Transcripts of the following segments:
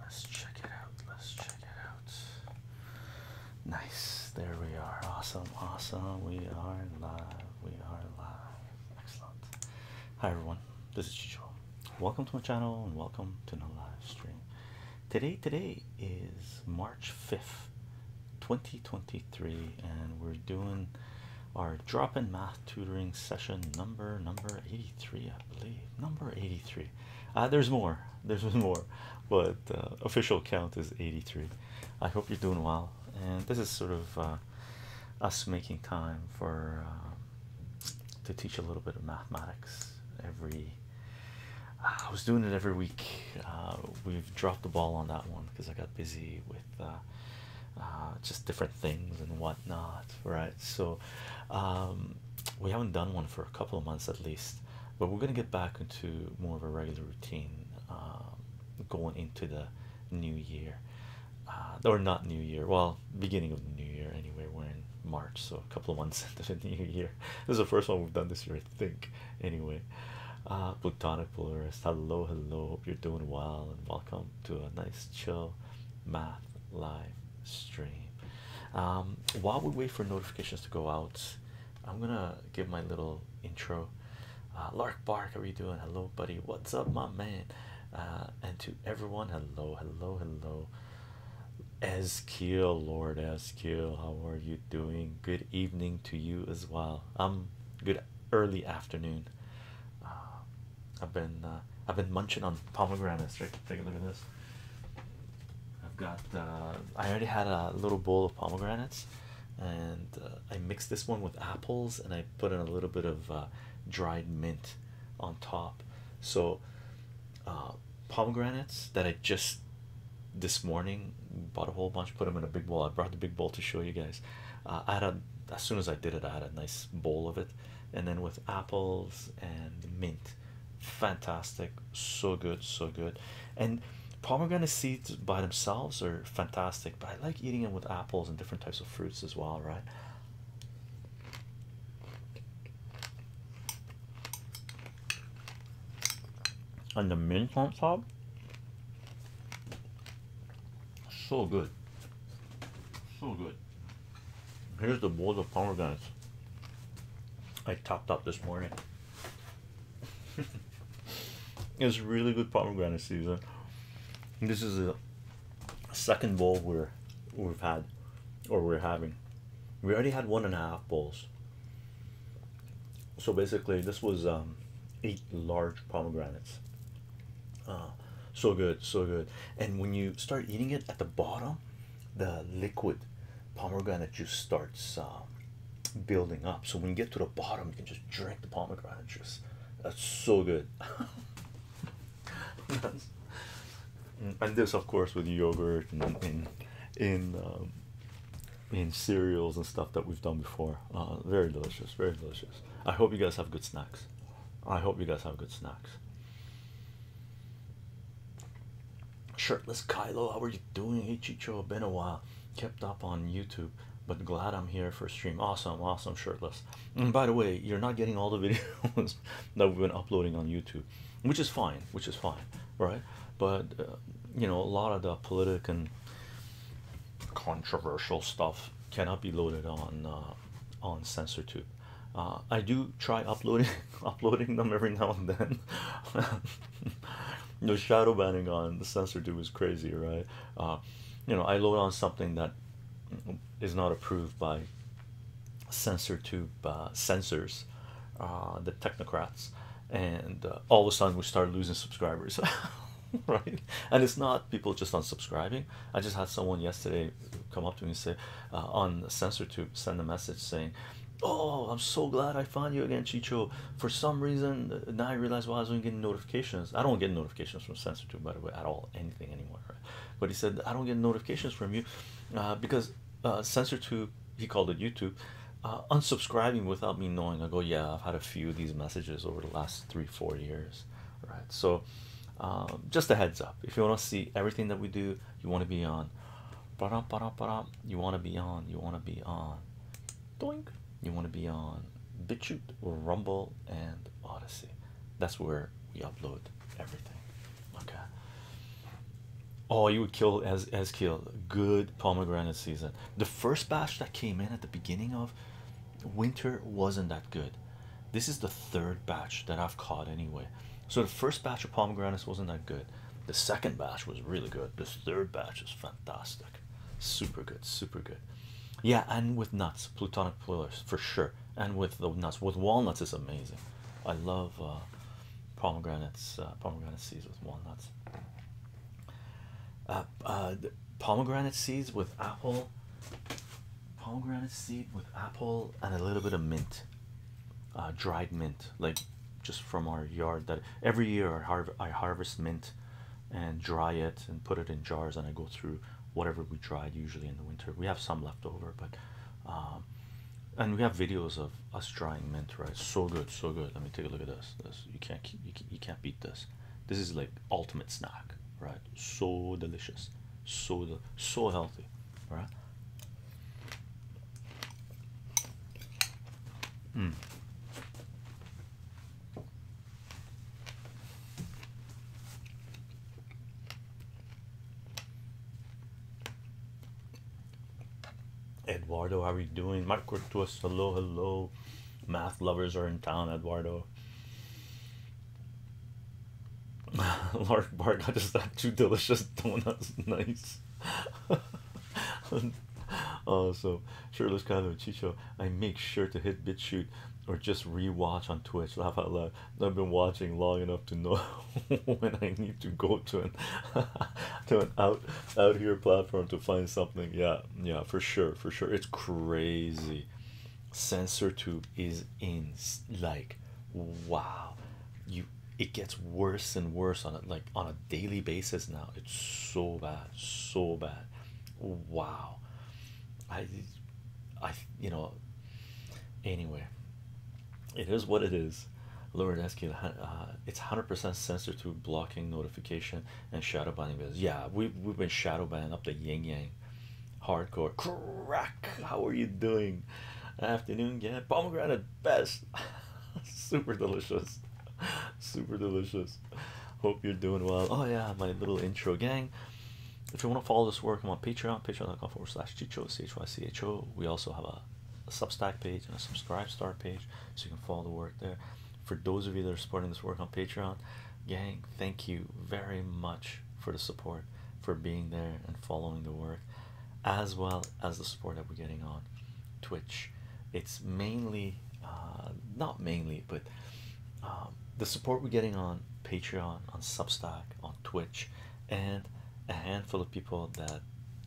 Let's check it out. Let's check it out. Nice. There we are. Awesome. Awesome. We are live. We are live. Excellent. Hi everyone. This is Chicho. Welcome to my channel and welcome to the live stream. Today, today is March 5th, 2023, and we're doing our drop-in math tutoring session number number 83 i believe number 83 uh, there's more there's more but uh, official count is 83 i hope you're doing well and this is sort of uh, us making time for to teach a little bit of mathematics every i was doing it every week we've dropped the ball on that one because i got busy with just different things and whatnot right so um, we haven't done one for a couple of months at least, but we're gonna get back into more of a regular routine um, going into the new year, uh, or not new year. Well, beginning of the new year anyway. We're in March, so a couple of months into the new year. This is the first one we've done this year, I think. Anyway, uh, Plutonic Polaris. Hello, hello. Hope you're doing well, and welcome to a nice chill math live stream. Um, while we wait for notifications to go out, I'm gonna give my little intro. Uh, Lark Bark, how are you doing? Hello, buddy. What's up, my man? Uh, and to everyone, hello, hello, hello. Eskiel, Lord Eskiel, how are you doing? Good evening to you as well. Um, good early afternoon. Uh, I've been I've been munching on pomegranates. Take a look at this. I've got, uh, I already had a little bowl of pomegranates, and uh, I mixed this one with apples, and I put in a little bit of uh, dried mint on top. So, pomegranates that I just this morning bought a whole bunch, put them in a big bowl. I brought the big bowl to show you guys. I had a, as soon as I did it, I had a nice bowl of it, and then with apples and mint fantastic so good so good and pomegranate seeds by themselves are fantastic but i like eating them with apples and different types of fruits as well right and the mint on top so good so good Here's the bowl of pomegranates I topped up this morning. it's really good pomegranate season. This is a second bowl we're we've had or we're having. We already had one and a half bowls. So basically, this was um, eight large pomegranates. Uh, so good, so good. And when you start eating it at the bottom, the liquid pomegranate juice starts uh, building up. So when you get to the bottom, you can just drink the pomegranate juice. That's so good. yes. Mm, and this, of course, with yogurt and in in um, in cereals and stuff that we've done before. Uh, very delicious, very delicious. I hope you guys have good snacks. I hope you guys have good snacks. Shirtless Kylo, how are you doing? Hey Chicho, been a while. Kept up on YouTube, but glad I'm here for a stream. Awesome, awesome, shirtless. And by the way, you're not getting all the videos that we've been uploading on YouTube, which is fine, which is fine, right? But uh, you know, a lot of the politic and controversial stuff cannot be loaded on uh, on Censor Two. Uh, I do try uploading uploading them every now and then. the shadow banning on the sensor tube is crazy, right? Uh, you know, I load on something that is not approved by sensor tube uh, censors, the technocrats, and all of a sudden we start losing subscribers. right and it's not people just unsubscribing i just had someone yesterday come up to me and say uh, on censor to send a message saying oh i'm so glad i found you again chicho for some reason uh, now i realize why well, i wasn't getting notifications i don't get notifications from censor to by the way at all anything anymore but he said i don't get notifications from you uh, because uh, censor to he called it youtube unsubscribing without me knowing i go yeah i've had a few of these messages over the last three four years right so um, just a heads up if you want to see everything that we do you want to be on ba You want to be on, you want to be on. Doink. You want to be on BitChute, Rumble, and Odyssey. That's where we upload everything. Okay. Oh, you would kill as as kill. Good pomegranate season. The first batch that came in at the beginning of winter wasn't that good. This is the third batch that I've caught anyway. So the first batch of pomegranates wasn't that good. The second batch was really good. This third batch is fantastic. Super good, super good. Yeah, and with nuts, plutonic pillars for sure. And with the nuts, with walnuts is amazing. I love uh, pomegranates, uh, pomegranate seeds with walnuts. Uh, uh pomegranate seeds with apple, pomegranate seed with apple, and a little bit of mint. Uh, dried mint, like just from our yard. That every year I, harv I harvest mint and dry it and put it in jars, and I go through whatever we dried usually in the winter. We have some left over, but um, and we have videos of us drying mint, right? So good, so good. Let me take a look at this. This you can't you can't beat this. This is like ultimate snack, right? So delicious, so so healthy bruh. Mm. Eduardo, how are you doing? Marco us, hello, hello. Math lovers are in town, Eduardo. Lark bark, I just thought too delicious donuts. Nice. oh, so shirtless kind of chicho. I make sure to hit bit shoot or just rewatch on Twitch. Laugh out loud. I've been watching long enough to know when I need to go to an to an out out here platform to find something. Yeah, yeah, for sure, for sure. It's crazy. Sensor tube is in like wow. You it gets worse and worse on it like on a daily basis now it's so bad so bad wow i i you know anyway it is what it is lower desk uh, it's 100% censored through blocking notification and shadow banning videos yeah we, we've been shadow banned up the yin yang hardcore crack how are you doing afternoon yeah pomegranate best. Super delicious. Super delicious. Hope you're doing well. Oh, yeah, my little intro gang. If you want to follow this work, I'm on Patreon, patreon.com forward slash Chicho, C H Y C H O. We also have a, a Substack page and a Subscribe Star page, so you can follow the work there. For those of you that are supporting this work on Patreon, gang, thank you very much for the support, for being there and following the work as well as the support that we're getting on Twitch. It's mainly, uh, not mainly, but um, the support we're getting on Patreon, on Substack, on Twitch, and a handful of people that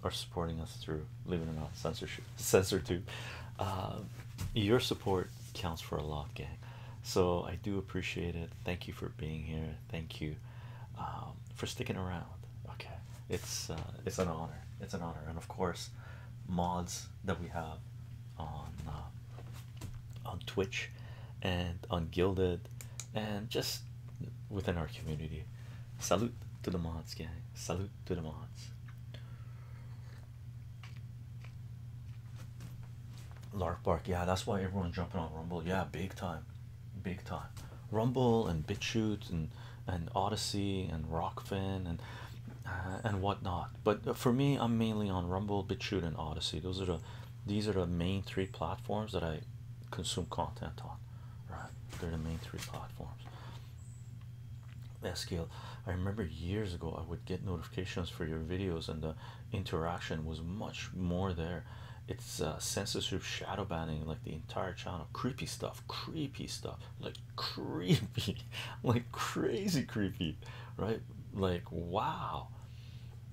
are supporting us through Leave It or Not Censorship, Censor2. Um, your support counts for a lot, gang. So I do appreciate it. Thank you for being here. Thank you um, for sticking around. Okay, it's uh, it's an honor. It's an honor, and of course, mods that we have on uh, on Twitch and on Guilded and just within our community. Salute to the mods, gang. Salute to the mods. Lark Bark, yeah, that's why everyone's jumping on Rumble, yeah, big time big time. Rumble and BitChute and and Odyssey and Rockfin and uh, and whatnot. But for me, I'm mainly on Rumble, BitChute, and Odyssey. Those are the these are the main three platforms that I consume content on. Right, they're the main three platforms. SQL. I remember years ago I would get notifications for your videos and the interaction was much more there it's uh, censorship shadow banning like the entire channel creepy stuff creepy stuff like creepy like crazy creepy right like wow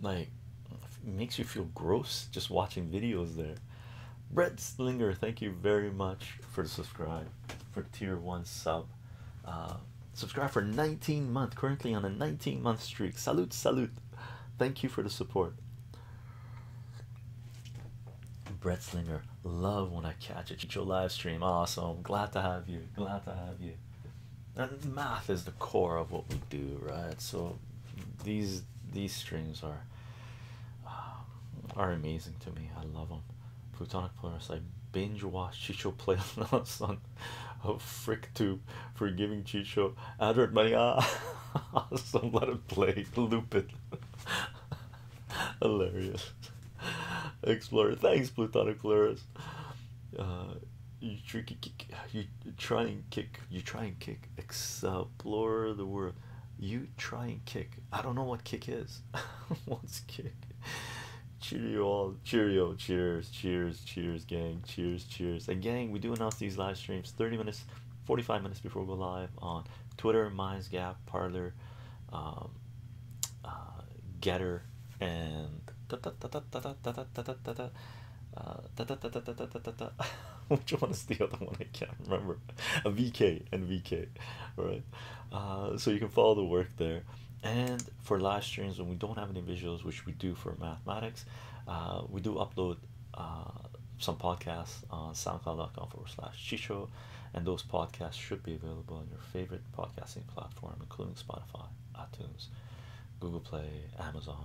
like makes you feel gross just watching videos there Brett Slinger thank you very much for subscribe for tier one sub uh, subscribe for 19 month currently on a 19 month streak salute salute thank you for the support Bretslinger, love when I catch it. Your live stream, awesome. Glad to have you. Glad to have you. And math is the core of what we do, right? So these these streams are uh, are amazing to me. I love them. Plutonic Polaris. I binge watch Chicho playlists on oh, FrickTube for giving Chicho advert money. Ah, awesome. Let it play. Loop it. Hilarious. Explorer, thanks, Plutonic Polaris. Uh, you tricky you try and kick, you try and kick, explore the world. You try and kick. I don't know what kick is. What's kick? Cheerio, all cheerio, cheers, cheers, cheers, gang, cheers, cheers. And gang, we do announce these live streams 30 minutes. 45 minutes before we go live on Twitter, Minds Gap, Parlor, um, uh, Getter, and which one is the other one? I can't remember. A VK and VK, right? Uh, so you can follow the work there. And for live streams, when we don't have any visuals, which we do for mathematics, uh, we do upload uh, some podcasts on soundcloud.com forward slash chicho and those podcasts should be available on your favorite podcasting platform including spotify itunes google play amazon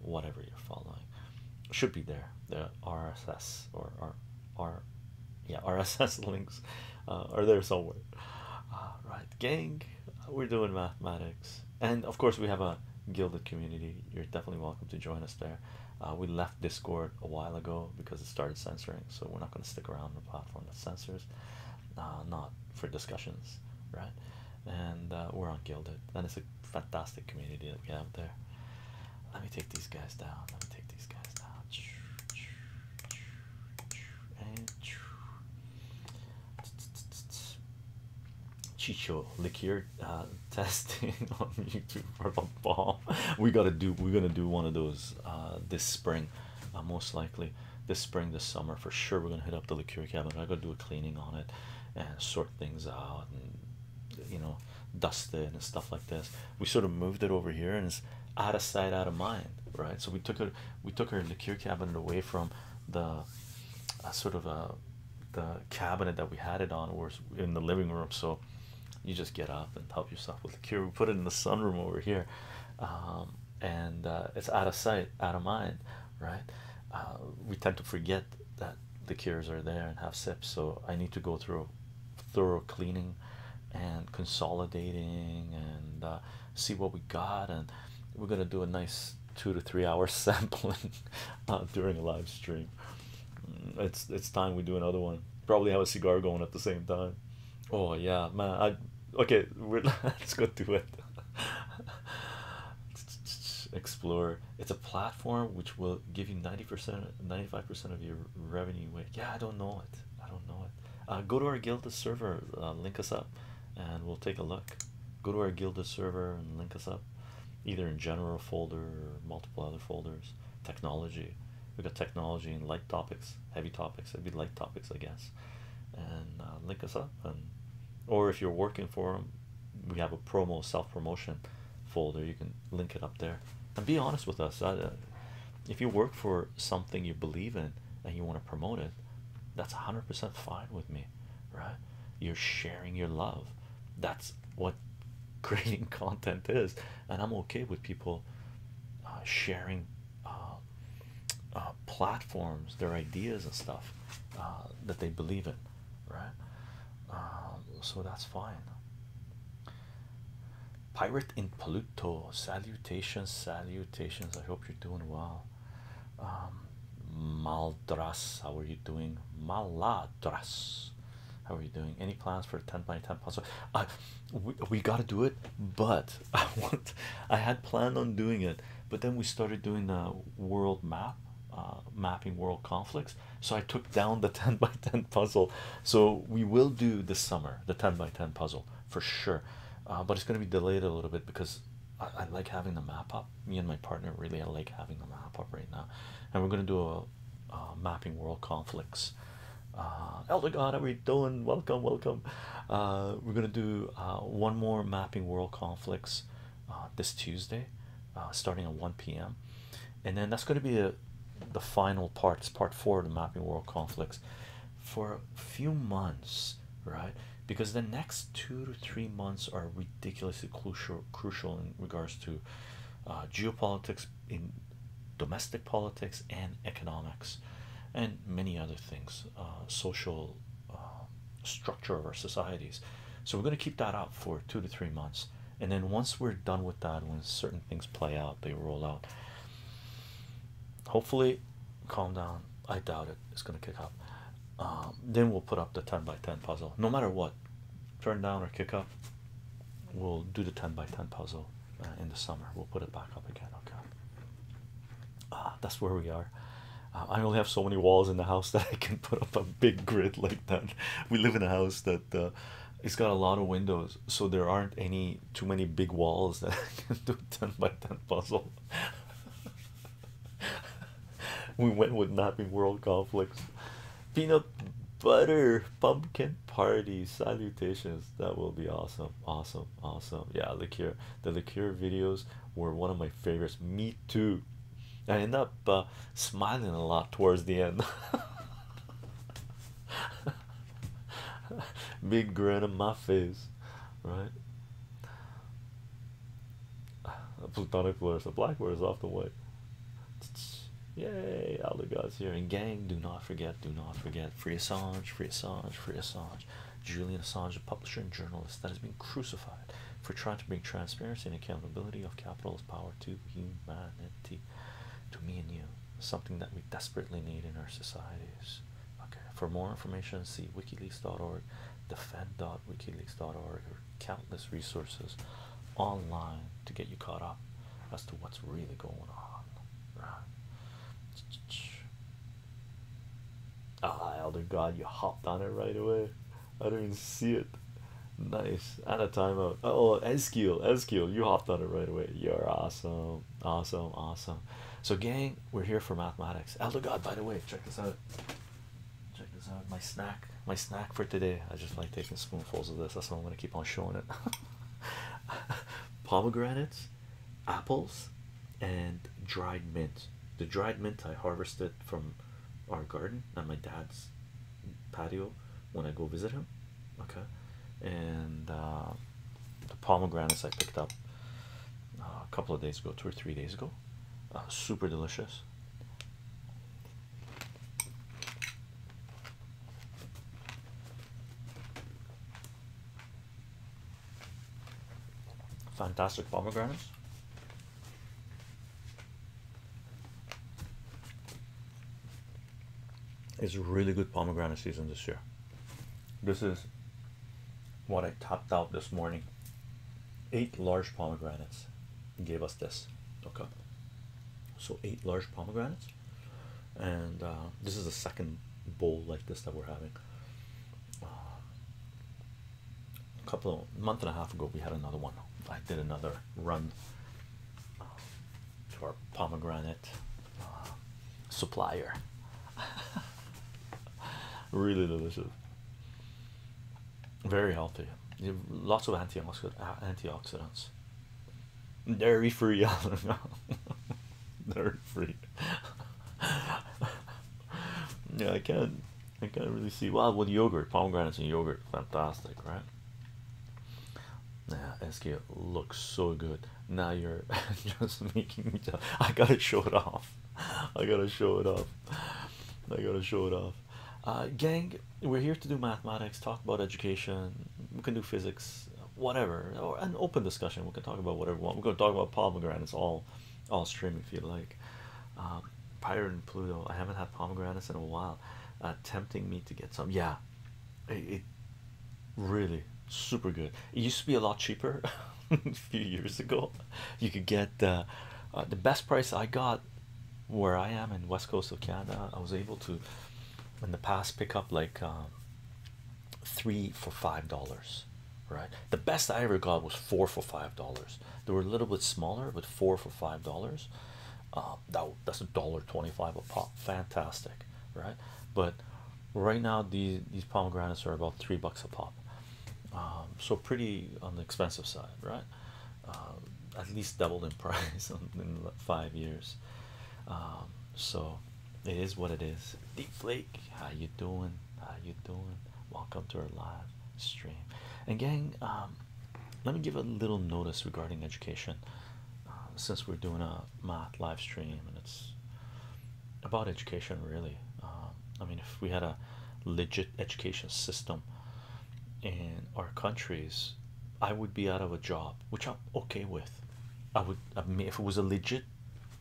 whatever you're following should be there the rss or our R, yeah rss links uh, are there somewhere uh, Right, gang we're doing mathematics and of course we have a gilded community you're definitely welcome to join us there uh, we left Discord a while ago because it started censoring, so we're not going to stick around the platform that censors, uh, not for discussions, right? And uh, we're on Guilded. and it's a fantastic community that we have there. Let me take these guys down. Let me take these guys down. Chicho liqueur uh, testing on YouTube for the ball. We gotta do. We're gonna do one of those uh, this spring, uh, most likely this spring, this summer for sure. We're gonna hit up the liqueur cabinet. I gotta do a cleaning on it and sort things out, and you know, dust it and stuff like this. We sort of moved it over here, and it's out of sight, out of mind, right? So we took it. We took our liqueur cabinet away from the sort of the cabinet that we had it on was in the living room so you just get up and help yourself with the cure. We put it in the sunroom over here, um, and uh, it's out of sight, out of mind, right? Uh, we tend to forget that the cures are there and have sips. So I need to go through thorough cleaning and consolidating and uh, see what we got, and we're gonna do a nice two to three hour sampling during a live stream it's it's time we do another one. Probably have a cigar going at the same time. Oh yeah, man. I okay. We're, let's go do it. Explore. It's a platform which will give you ninety percent, ninety-five percent of your revenue. Weight. Yeah, I don't know it. I don't know it. Uh, go to our Gilda server. Uh, link us up, and we'll take a look. Go to our Gilda server and link us up, either in general folder or multiple other folders technology we got technology and light topics heavy topics heavy light topics i guess and uh, link us up and or if you're working for them we have a promo self-promotion folder you can link it up there and be honest with us uh, if you work for something you believe in and you want to promote it that's 100% fine with me right you're sharing your love that's what creating content is, and I'm okay with people uh, sharing uh, uh, platforms, their ideas, and stuff that they believe in, right? Um, so that's fine. Pirate in Pluto, salutations, salutations. I hope you're doing well. Um, Maldras, how are you doing? Maladras, how are you doing? Any plans for a 10 by 10 puzzle? I we, we got to do it, but I want I had planned on doing it, but then we started doing the world map, uh, mapping world conflicts. So I took down the 10 by 10 puzzle. So we will do this summer the 10 by 10 puzzle for sure, uh, but it's going to be delayed a little bit because. I, like having the map up. Me and my partner really like having the map up right now, and we're gonna do a uh, mapping world conflicts. Uh, Elder God, are we doing? Welcome, welcome. Uh, we're gonna do uh, one more mapping world conflicts this Tuesday, starting at 1 p.m. And then that's gonna be the final part. It's part four of the mapping world conflicts for a few months, right? Because the next two to three months are ridiculously crucial, crucial in regards to geopolitics, in domestic politics and economics and many other things uh, social uh, structure of our societies so we're going to keep that up for two to three months and then once we're done with that when certain things play out they roll out hopefully calm down i doubt it it's going to kick up um, then we'll put up the 10 by 10 puzzle no matter what turn down or kick up, we'll do the 10 by 10 puzzle uh, in the summer. We'll put it back up again. Okay, ah, that's where we are. Uh, I only have so many walls in the house that I can put up a big grid like that. We live in a house that uh, it's got a lot of windows, so there aren't any too many big walls that I can do 10 by 10 puzzle. we went with napping world conflicts peanut butter pumpkin party salutations that will be awesome awesome awesome yeah the liqueur the liquor videos were one of my favorites me too i end up uh, smiling a lot towards the end big grin on my face right a platonic blur so black is off the white Yay, all the gods here. And gang, do not forget, do not forget. Free Assange, free Assange, free Assange. Julian Assange, a publisher and journalist that has been crucified for trying to bring transparency and accountability of capitalist power to humanity, to me and you. Something that we desperately need in our societies. Okay, for more information, see wikileaks.org, defend.wikileaks.org, or countless resources online to get you caught up as to what's really going on. Right? Ah, oh, elder god, you hopped on it right away. I didn't even see it. Nice. At a timeout. Oh, oh, Eskiel, Eskiel, you hopped on it right away. You're awesome, awesome, awesome. So, gang, we're here for mathematics. Elder god, by the way, check this out. Check this out. My snack my snack for today. I just like taking spoonfuls of this. That's why I'm gonna keep on showing it. Pomegranates, apples, and dried mint. The dried mint I harvested from our garden at my dad's patio when I go visit him. Okay, and uh, the pomegranates I picked up uh, a couple of days ago, two or three days ago. Uh, super delicious. Fantastic pomegranates. It's really good pomegranate season this year. This is what I topped out this morning. Eight large pomegranates gave us this. Okay. So eight large pomegranates and uh, this is the second bowl like this that we're having. Uh, a couple of month and a half ago, we had another one. I did another run uh, to our pomegranate supplier. really delicious, very healthy. lots of antioxidants. Dairy free, I don't know. Dairy free. yeah, I can't. I can't really see. Well, with yogurt, pomegranates and yogurt, fantastic, right? Yeah, SK looks so good. Now you're just making me. Tell. I gotta show it off. I gotta show it off. I gotta show it off. Uh, gang, we're here to do mathematics, talk about education. We can do physics, whatever, or an open discussion. We can talk about whatever we want. We're going to talk about pomegranates all, all stream if you like. Um, Pirate and Pluto. I haven't had pomegranates in a while. Uh, tempting me to get some. Yeah, it, really super good. It used to be a lot cheaper a few years ago. You could get uh, the best price I got where I am in West Coast of Canada. I was able to in the past pick up like um, three for five dollars right the best i ever got was four for five dollars they were a little bit smaller but four for five dollars um, that, that's a dollar 25 a pop fantastic right but right now these these pomegranates are about three bucks a pop um, so pretty on the expensive side right at least doubled in price in five years um, so it is what it is. Deepflake, how you doing? How you doing? Welcome to our live stream. And gang, um, let me give a little notice regarding education. Um, since we're doing a math live stream and it's about education really. I mean if we had a legit education system in our countries, I would be out of a job which I'm okay with. I would, I if it was a legit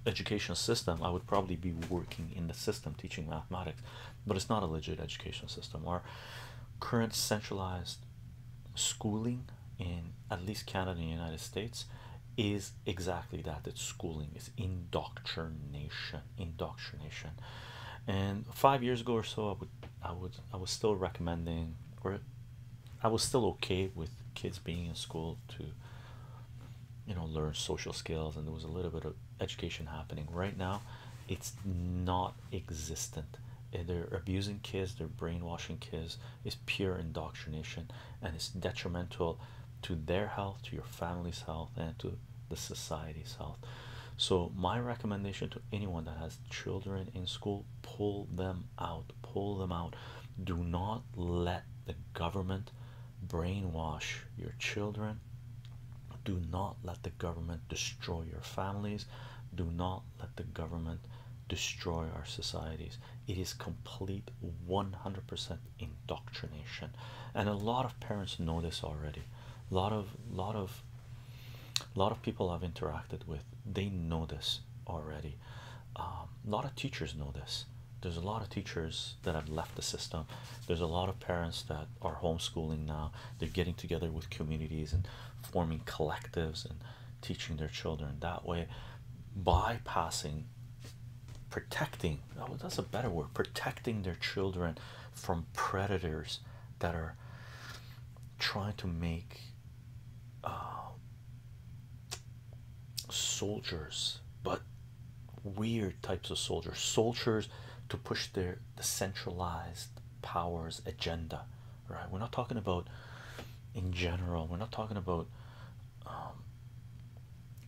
educational system, I would probably be working in the system teaching mathematics, but it's not a legit educational system. Our current centralized schooling in at least Canada and the United States is exactly that it's schooling, is indoctrination, indoctrination. And five years ago or so, I would, I would, I was still recommending, or I was still okay with kids being in school to you know learn social skills and there was a little bit of education happening right now it's not existent eh, they're abusing kids they're brainwashing kids it's pure indoctrination and it's detrimental to their health to your family's health and to the society's health so my recommendation to anyone that has children in school, pull them out, pull them out. Do not let the government brainwash your children. Do not let the government destroy your families. Do not let the government destroy our societies. It is complete 100% indoctrination, and a lot of parents know this already. A lot of lot of a lot of people I've interacted with they know this already um, a lot of teachers know this there's a lot of teachers that have left the system there's a lot of parents that are homeschooling now they're getting together with communities and forming collectives and teaching their children that way bypassing protecting oh, that's a better word protecting their children from predators that are trying to make um, soldiers, but weird types of soldiers, soldiers to push their the centralized powers agenda. Right? We're not talking about in general. We're not talking about um,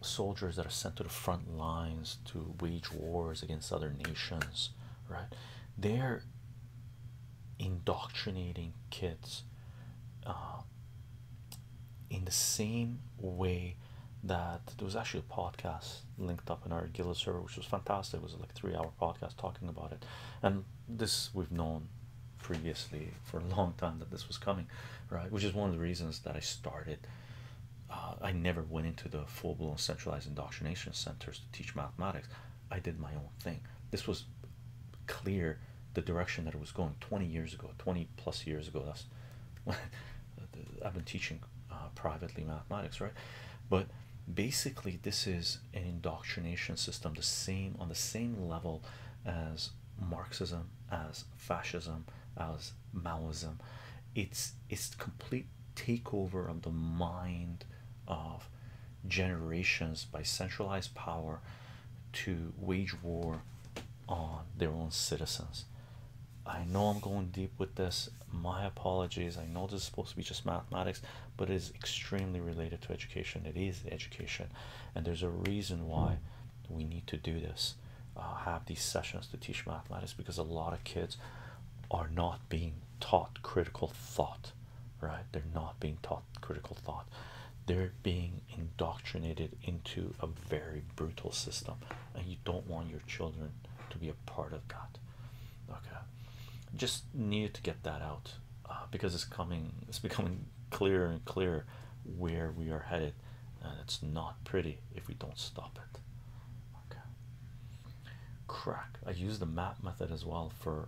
soldiers that are sent to the front lines to wage wars against other nations. Right? They're indoctrinating kids uh, in the same way that there was actually a podcast linked up in our Gila server, which was fantastic. It was like a three hour podcast talking about it, and this we've known previously for a long time that this was coming, right? Which is one of the reasons that I started. Uh, I never went into the full blown centralized indoctrination centers to teach mathematics. I did my own thing. This was clear the direction that it was going 20 years ago, 20 plus years ago. That's I've been teaching uh, privately mathematics, right? But basically, this is an indoctrination system, the same on the same level as Marxism, as fascism, as Maoism. It's it's complete takeover of the mind of generations by centralized power to wage war on their own citizens. I know I'm going deep with this. My apologies. I know this is supposed to be just mathematics, but it is extremely related to education. It is education, and there's a reason why we need to do this. Uh, have these sessions to teach mathematics because a lot of kids are not being taught critical thought, right? They're not being taught critical thought they're being indoctrinated into a very brutal system and you don't want your children to be a part of that okay just need to get that out uh, because it's coming it's becoming clearer and clearer where we are headed and it's not pretty if we don't stop it okay crack i use the map method as well for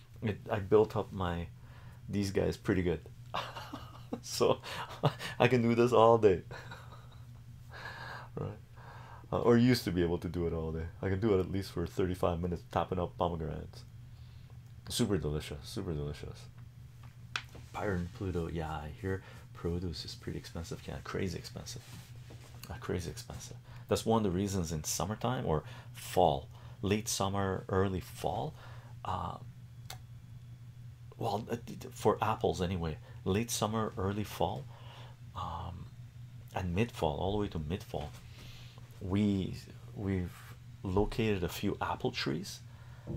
I built up my these guys pretty good, so I can do this all day, right? Uh, or used to be able to do it all day. I can do it at least for 35 minutes, tapping up pomegranates. Super delicious, super delicious. Byron Pluto, yeah, I hear produce is pretty expensive, can yeah, crazy expensive, uh, crazy expensive that's one of the reasons in summertime or fall late summer early fall uh, well uh, for apples anyway late summer early fall um, and mid fall all the way to mid fall we we've located a few apple trees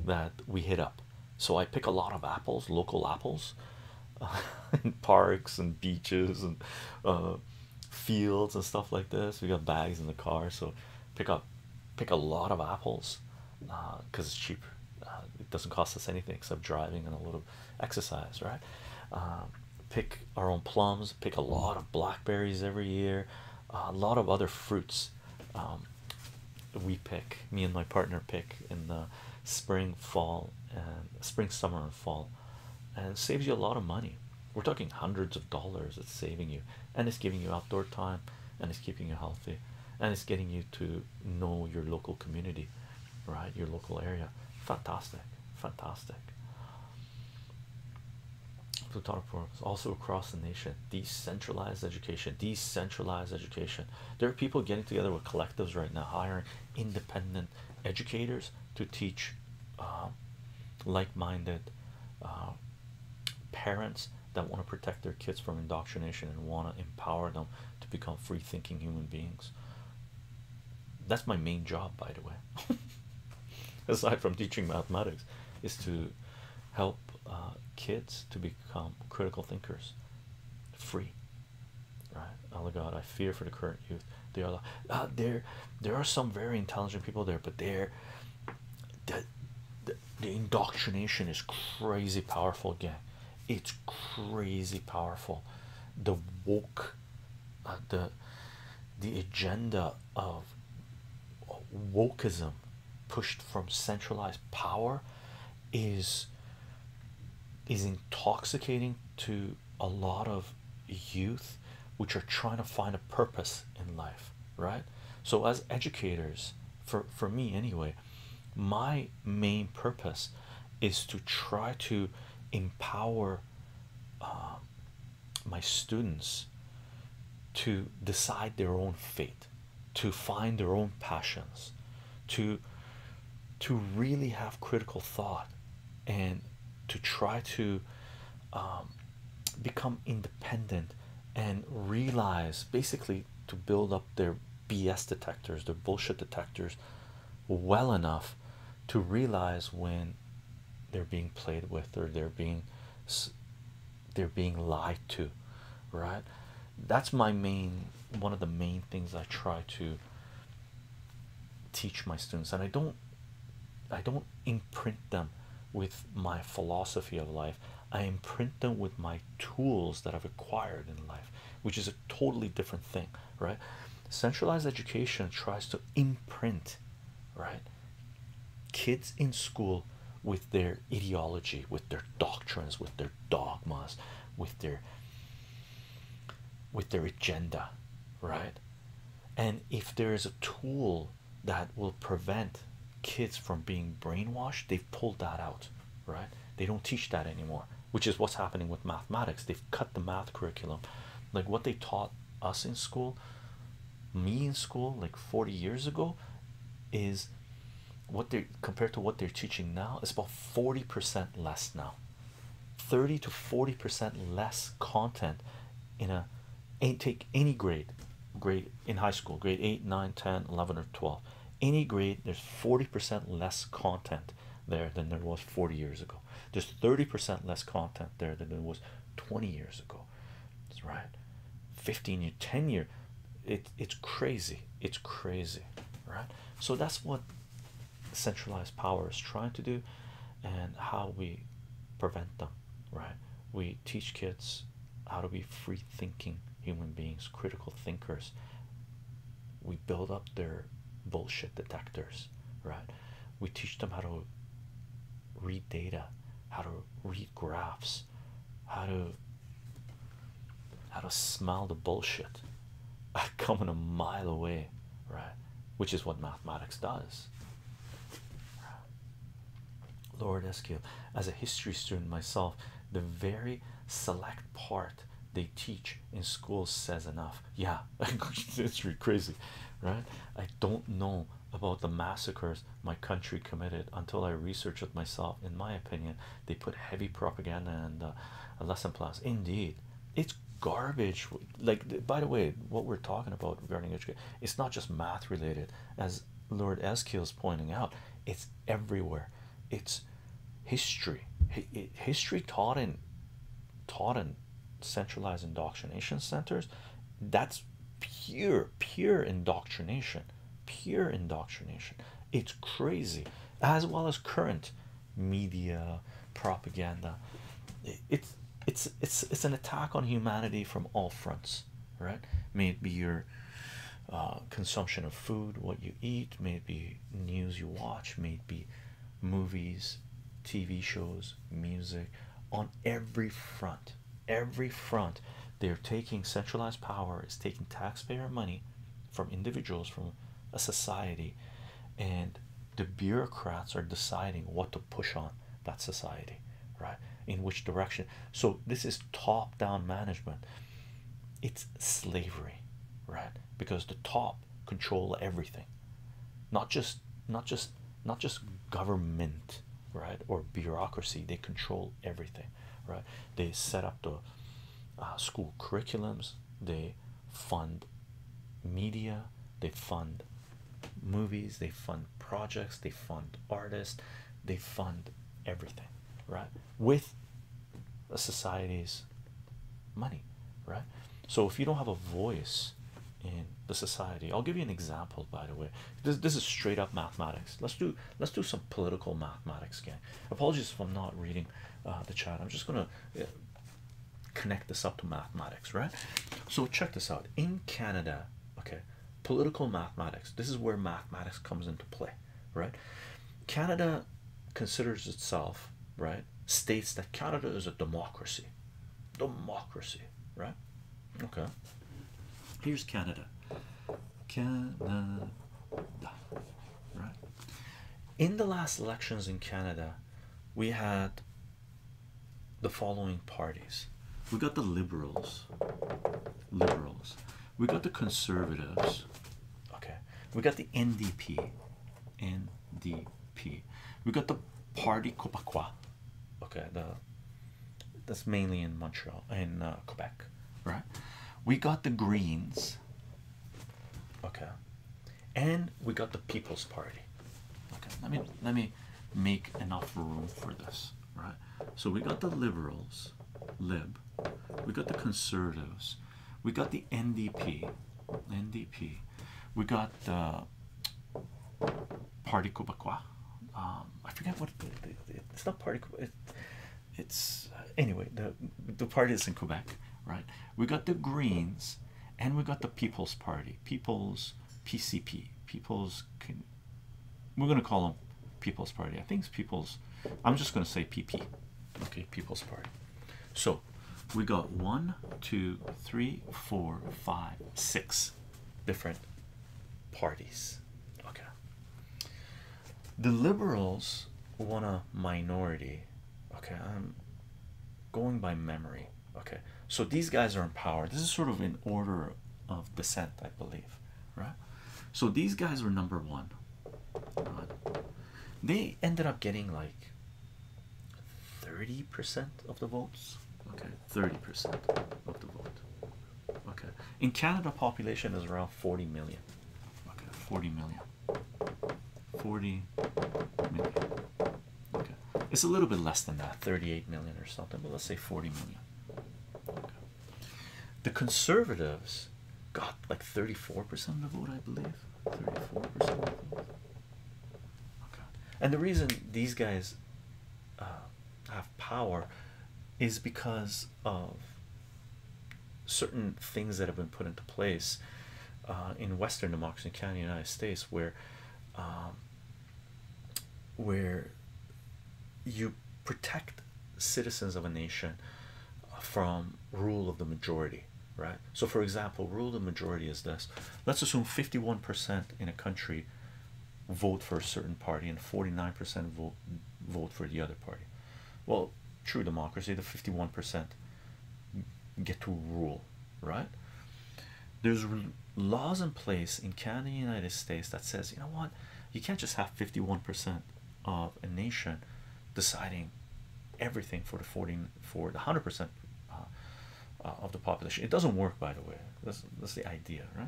that we hit up so I pick a lot of apples local apples in parks and beaches and uh, fields and stuff like this. We got bags in the car, so pick up pick a lot of apples because uh, it's cheap. Uh, it doesn't cost us anything except driving and a little exercise, right? Um, pick our own plums, pick a lot of blackberries every year, a lot of other fruits. Um, we pick, me and my partner pick in the spring, fall, and spring, summer, fall and saves you a lot of money. We're talking hundreds of dollars it's saving you, and it's giving you outdoor time, and it's keeping you healthy, and it's getting you to know your local community, right? Your local area. Fantastic, fantastic. Plutonic programs also across the nation. Decentralized education, decentralized education. There are people getting together with collectives right now, hiring independent educators to teach. Um, like-minded uh, parents that want to protect their kids from indoctrination and want to empower them to become free-thinking human beings that's my main job by the way aside from teaching mathematics is to help uh, kids to become critical thinkers free right oh god i fear for the current youth they are ah, there there are some very intelligent people there but they're the, the, indoctrination is crazy powerful gang it's crazy powerful the woke uh, the the agenda of wokeism pushed from centralized power is is intoxicating to a lot of youth which are trying to find a purpose in life right so as educators for for me anyway my main purpose is to try to empower uh, my students to decide their own fate to find their own passions to to really have critical thought and to try to um, become independent and realize basically to build up their BS detectors, their bullshit detectors, well enough to realize when they're being played with or they're being they're being lied to, right? That's my main one of the main things I try to teach my students, and I don't I don't imprint them with my philosophy of life. I imprint them with my tools that I've acquired in life, which is a totally different thing, right? Centralized education tries to imprint, right? Kids in school with their ideology, with their doctrines, with their dogmas, with their with their agenda, right? And if there is a tool that will prevent kids from being brainwashed they've pulled that out right they don't teach that anymore which is what's happening with mathematics they've cut the math curriculum like what they taught us in school me in school like 40 years ago is what they're compared to what they're teaching now is about 40% less now 30 to 40% less content in a and take any grade grade in high school grade 8 9 10 11 or 12 any grade there's 40% less content there than there was 40 years ago there's 30% less content there than there was 20 years ago that's right 15 year 10 year it it's crazy it's crazy right so that's what centralized power is trying to do and how we prevent them right? We teach kids how to be free thinking human beings, critical thinkers. We build up their bullshit detectors, right? We teach them how to read data, how to read graphs, how to how to smell the bullshit coming a mile away, right? Which is what mathematics does. Lord Eskew, as a history student myself, the very select part they teach in schools says enough. Yeah, it's really crazy, right? I don't know about the massacres my country committed until I researched it myself. In my opinion, they put heavy propaganda and uh, lesson plus. Indeed, it's garbage like by the way what we're talking about regarding education it's not just math related as lord Eskil is pointing out it's everywhere it's history history taught in taught in centralized indoctrination centers that's pure pure indoctrination pure indoctrination it's crazy as well as current media propaganda it's it's it's it's an attack on humanity from all fronts right may it be your uh, consumption of food what you eat may it be news you watch may it be movies tv shows music on every front every front they're taking centralized power is taking taxpayer money from individuals from a society and the bureaucrats are deciding what to push on that society right in which direction so this is top-down management it's slavery right because the top control everything not just not just not just government right or bureaucracy they control everything right they set up the uh, school curriculums they fund media they fund movies, they fund projects, they fund artists, they fund everything, right? With a society's money, right? So if you don't have a voice in the society, I'll give you an example by the way. This this is straight up mathematics. Let's do let's do some political mathematics again. Apologies if I'm not reading uh, the chat. I'm just gonna uh, connect this up to mathematics, right? So check this out. In Canada, okay, Political mathematics. This is where mathematics comes into play, right? Canada considers itself, right? States that Canada is a democracy. Democracy, right? Okay. Here's Canada. Canada, right? In the last elections in Canada, we had the following parties we got the liberals liberals we got the conservatives okay we got the ndp ndp we got the party Quebecois. okay the that's mainly in montreal in uh, quebec right we got the greens okay and we got the people's party okay let me let me make enough room for this right? So we got the liberals, lib, we got the conservatives, we got the NDP, NDP, we got the Party Québécois. Um, I forget what it, it's not Party. it's uh, anyway the the party is in Quebec, right? We got the Greens, and we got the People's Party, People's PCP, People's we're going to call them People's Party. I think it's People's. I'm just going to say PP. Okay, People's Party. So we got one, two, three, four, five, six different parties. Okay. The liberals want a minority. Okay, I'm going by memory okay so these guys are in power this is sort of in order of descent i believe right so these guys were number one they ended up getting like 30 percent of the votes okay 30 percent of the vote okay in canada population is around 40 million okay 40 million 40 million okay it's a little bit less than that 38 million or something but let's say 40 million the conservatives got like 34% of the vote, I believe. 34%. And the reason these guys uh, have power is because of certain things that have been put into place uh, in Western democracy, in the United States, where um, where you protect citizens of a nation uh, from rule of the majority right so for example rule of the majority is this let's assume 51% in a country vote for a certain party and 49% vote vote for the other party well true democracy the 51% get to rule right there's laws in place in Canada and United States that says, you know what, you can't just have 51% of a nation deciding everything for the 14 the 100% uh, uh, of the population. It doesn't work, by the way. That's that's the idea, right?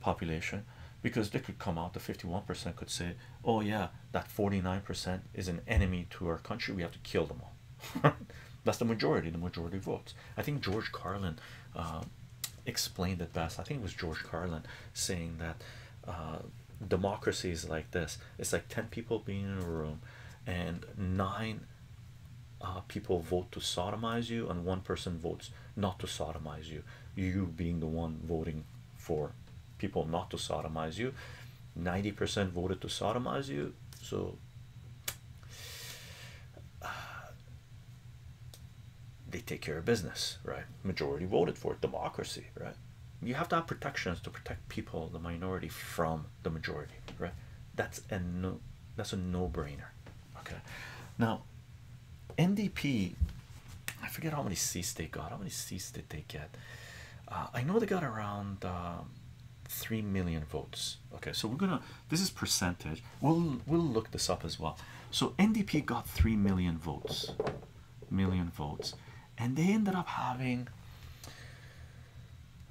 Population, because they could come out. The 51% could say, "Oh yeah, that 49% is an enemy to our country. We have to kill them all." that's the majority. The majority votes. I think George Carlin uh, explained it best. I think it was George Carlin saying that uh, democracy is like this it's like 10 people being in a room, and nine uh, people vote to sodomize you, and one person votes not to sodomize you. You being the one voting for people not to sodomize you, 90% voted to sodomize you. So, they take care of business, right? Majority voted for it, democracy, right? You have to have protections to protect people, the minority from the majority, right? That's a no that's a no-brainer. Okay. Now NDP I forget how many seats they got. How many seats did they get? Uh, I know they got around um, three million votes. Okay, so we're gonna this is percentage we'll we'll look this up as well so ndp got 3 million votes million votes and they ended up having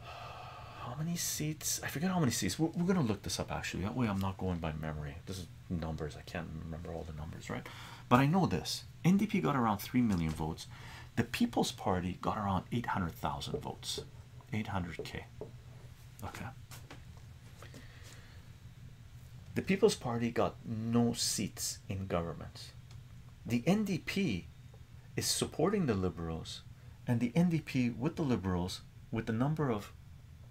how many seats i forget how many seats we're, we're gonna look this up actually that way i'm not going by memory this is numbers i can't remember all the numbers right but i know this ndp got around 3 million votes the people's party got around 800000 votes 800k. Okay. The People's Party got no seats in government. The NDP is supporting the Liberals, and the NDP with the Liberals, with the number of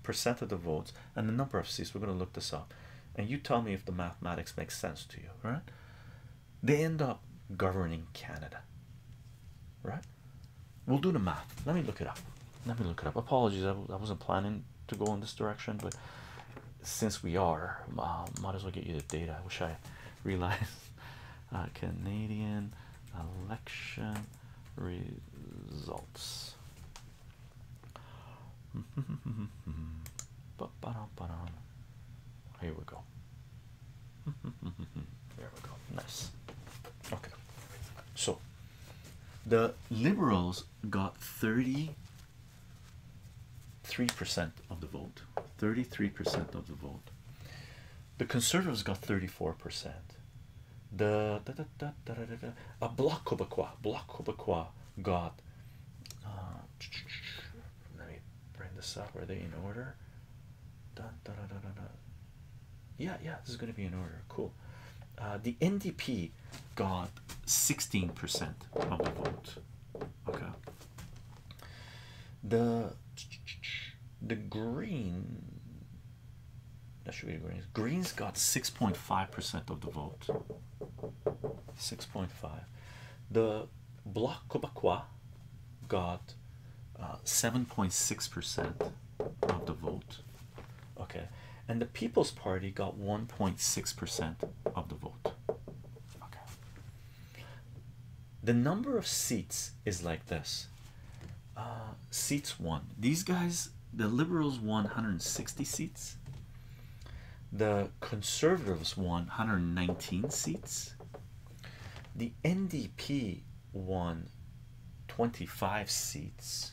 percent of the votes and the number of seats, we're going to look this up. And you tell me if the mathematics makes sense to you, right? They end up governing Canada, right? We'll do the math. Let me look it up. Let me look it up. Apologies, I, wasn't planning to go in this direction, but since we are, uh, might as well get you the data. I wish I realized uh, Canadian election results. Here we go. There we go. Nice. Okay, so the liberals got 33% of the vote, 33% of the vote. The conservatives got 34%. The da, da, da, da, da, da, da, a bloc Quebecois, bloc Quebecois got. Uh, let me bring this up. Are they in order? yeah yeah this is going to be an order cool uh, the ndp got 16 percent of the vote okay the the green that should be the greens greens got 6.5 percent of the vote 6.5 the bloc quebecois got uh, 7.6 percent of the vote okay and the people's party got 1.6% of the vote okay the number of seats is like this uh, seats won these guys the liberals won 160 seats the conservatives won 119 seats the ndp won 25 seats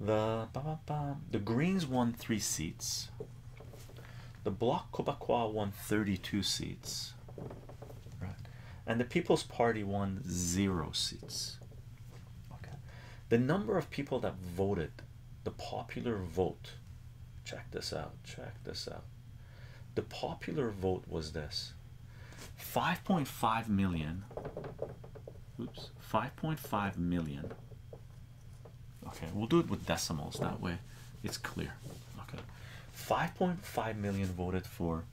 the the Greens won three seats. The Bloc Québécois won 32 seats, And the People's Party won zero seats. the number of people that voted, the popular vote. Check this out. Check this out the popular vote was this 5.5 million oops 5.5 million okay we'll do it with decimals that way it's clear okay 5.5 million voted for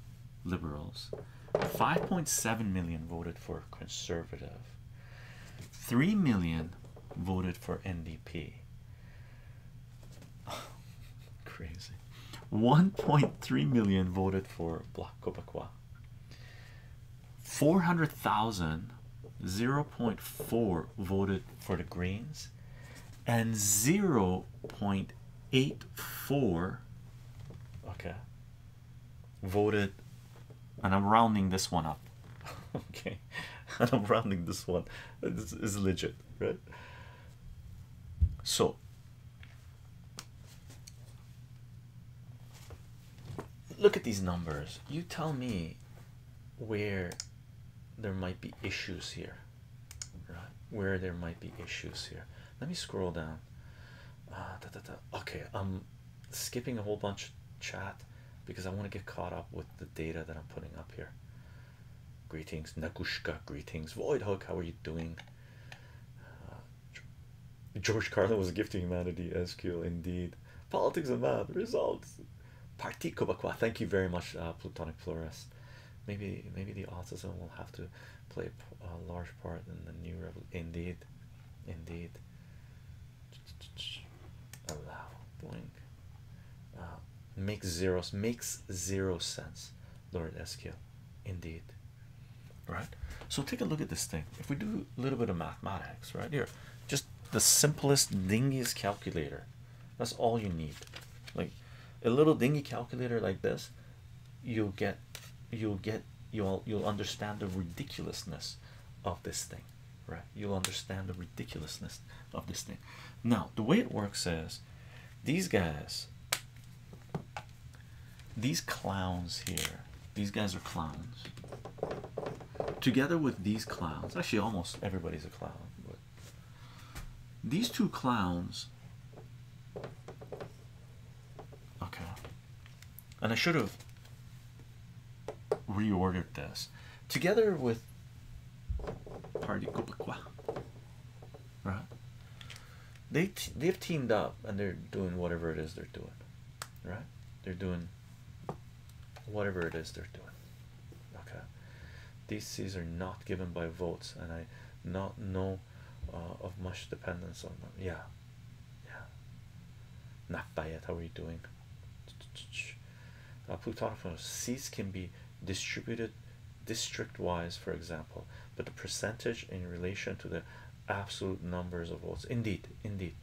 liberals 5.7 million voted for conservative 3 million voted for ndp crazy 1.3 million voted for Bloc Québécois. 400,000, 0.4 voted for the Greens, and 0.84 okay voted, and I'm rounding this one up. okay, and I'm rounding this one. This is legit, right? So Look at these numbers. You tell me where there might be issues here, right? Where there might be issues here. Let me scroll down. Ah, okay, I'm skipping a whole bunch of chat because I want to get caught up with the data that I'm putting up here. Greetings, Nakushka. Greetings, Void How are you doing? Uh, George Carlin was a gift to humanity. SQ indeed. Politics and math results. Parti Quebecois. Thank you very much, uh, Plutonic Flores. Maybe maybe the autism will have to play a large part in the new rebel. Indeed, indeed. Allow boing. Uh, makes zeros makes zero sense. Lord SQ. Indeed right? So take a look at this thing. If we do a little bit of mathematics right here, just the simplest dingiest calculator. That's all you need. Like a little dingy calculator like this, you'll get you'll get you'll you'll understand the ridiculousness of this thing, right? You'll understand the ridiculousness of this thing. Now, the way it works is these guys these clowns here, these guys are clowns. Together with these clowns, actually, almost everybody's a clown, but these two clowns. Okay. And I should have reordered this together with Party Right? they they've teamed up and they're doing whatever it is they're doing, right? They're doing whatever it is they're doing. Okay, these seats are not given by votes, and I not know uh, of much dependence on them. Yeah, yeah. Nafdayat, how are you doing? Uh, Plutonic uh, seats can be distributed district-wise, for example but the percentage in relation to the absolute numbers of votes indeed indeed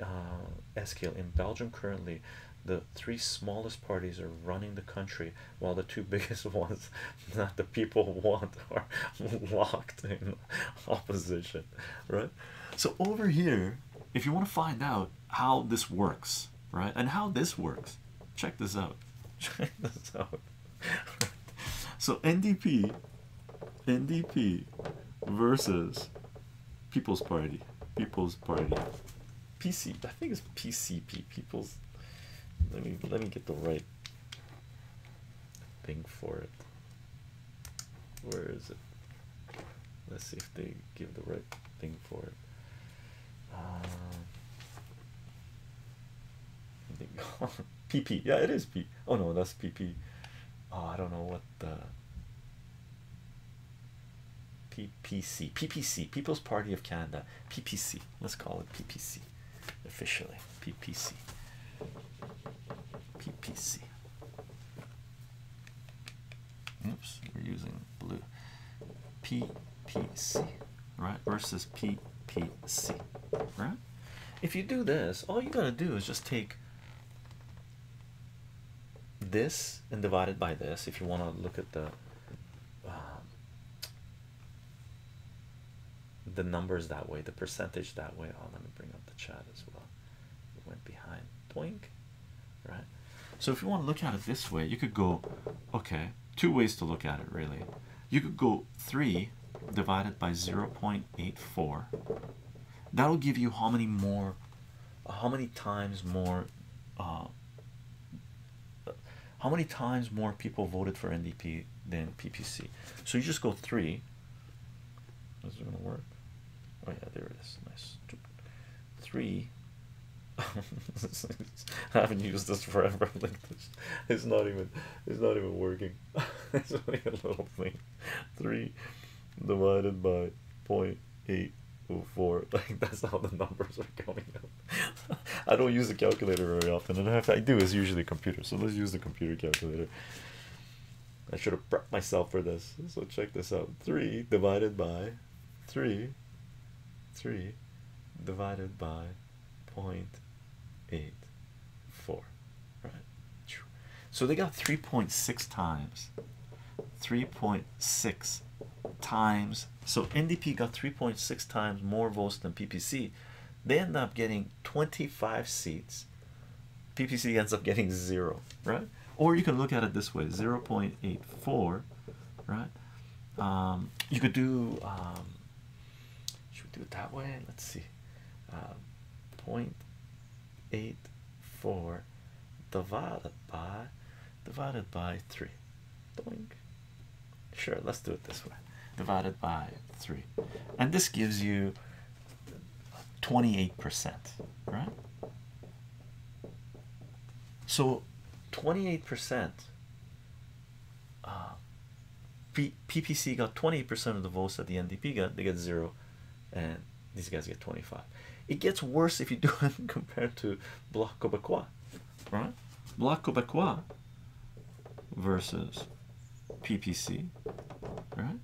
uh Eskil, in belgium currently the three smallest parties are running the country while the two biggest ones that the people want are locked in opposition right so over here if you want to find out how this works right and how this works check this out check this out so ndp ndp versus people's party people's party pc i think it's pcp people's let me let me get the right thing for it where is it let's see if they give the right thing for it uh, PP. Yeah, it is P. Oh no, that's PP. Oh, I don't know what the PPC. PPC. People's Party of Canada. PPC. Let's call it PPC. Officially, PPC. PPC. Oops, we're using blue. PPC right versus ppc right if you do this all you got to do is just take this and divide it by this if you want to look at the um, the numbers that way the percentage that way oh let me bring up the chat as well went behind twink right so if you want to look at it this way you could go okay two ways to look at it really you could go 3 divided by 0.84 that'll give you how many more how many times more uh, how many times more people voted for ndp than ppc so you just go 3 is it gonna work oh yeah there it is nice 3 I haven't used this forever like it's not even it's not even working it's only a little thing. 3 divided by 0.804. Like, that's how the numbers are coming up. I don't use a calculator very often, and if I do, it's usually a computer. So let's use the computer calculator. I should have prepped myself for this. So check this out. 3 divided by 3. 3 divided by 0.84 right so they got 3.6 times 3.6 times so ndp got 3.6 times more votes than ppc they end up getting 25 seats ppc ends up getting zero right or you can look at it this way 0.84 right um, you could do um, should we do it that way? Let's see. Uh, divided by divided by three. Sure, let's do it this way. Divided by three, and this gives you 28%, right? So 28% uh, PPC got twenty percent of the votes that the NDP got, they get zero, and these guys get 25. It gets worse if you do it compared to Bloc Québécois, right? Bloc Québécois versus PPC, right?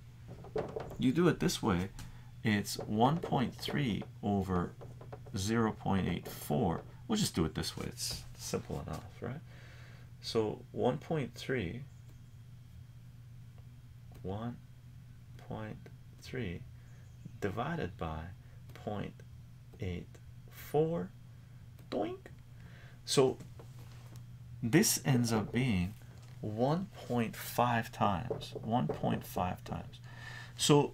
You do it this way, it's 1.3 over 0.84. We'll just do it this way, it's simple enough, right? So 1.3 1.3 divided by 0.84 doink. So this ends up being 1.5 times 1.5 times. So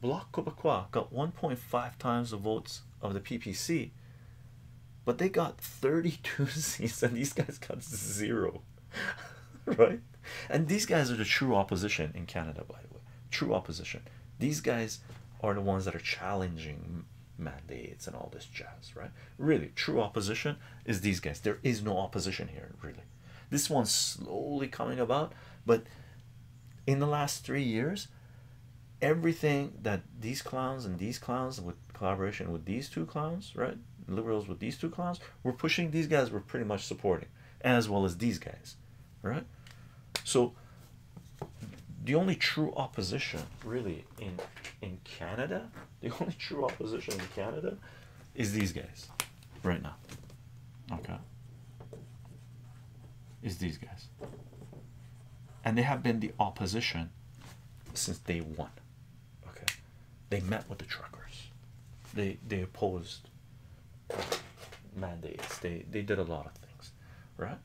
Bloc Québécois got 1.5 times the votes of the PPC but they got thirty-two seats, and these guys got zero, right? And these guys are the true opposition in Canada, by the way. True opposition. These guys are the ones that are challenging mandates and all this jazz, right? Really, true opposition is these guys. There is no opposition here, really. This one's slowly coming about, but in the last three years, everything that these clowns and these clowns with collaboration with these two clowns right liberals with these two clowns we're pushing these guys were pretty much supporting as well as these guys right so the only true opposition really in in canada the only true opposition in canada is these guys right now okay is these guys and they have been the opposition since day one. Okay, they met with the truckers. They they opposed mandates. They they did a lot of things, right?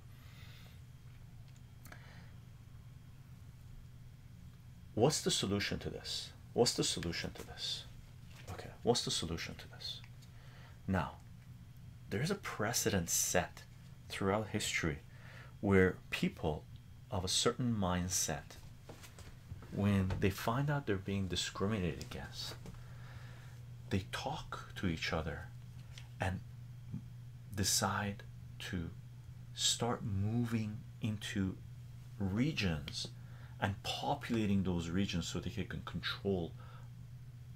What's the solution to this? What's the solution to this? Okay, what's the solution to this? Now, there's a precedent set throughout history where people of a certain mindset, when they find out they're being discriminated against, they talk to each other and decide to start moving into regions and populating those regions so they can control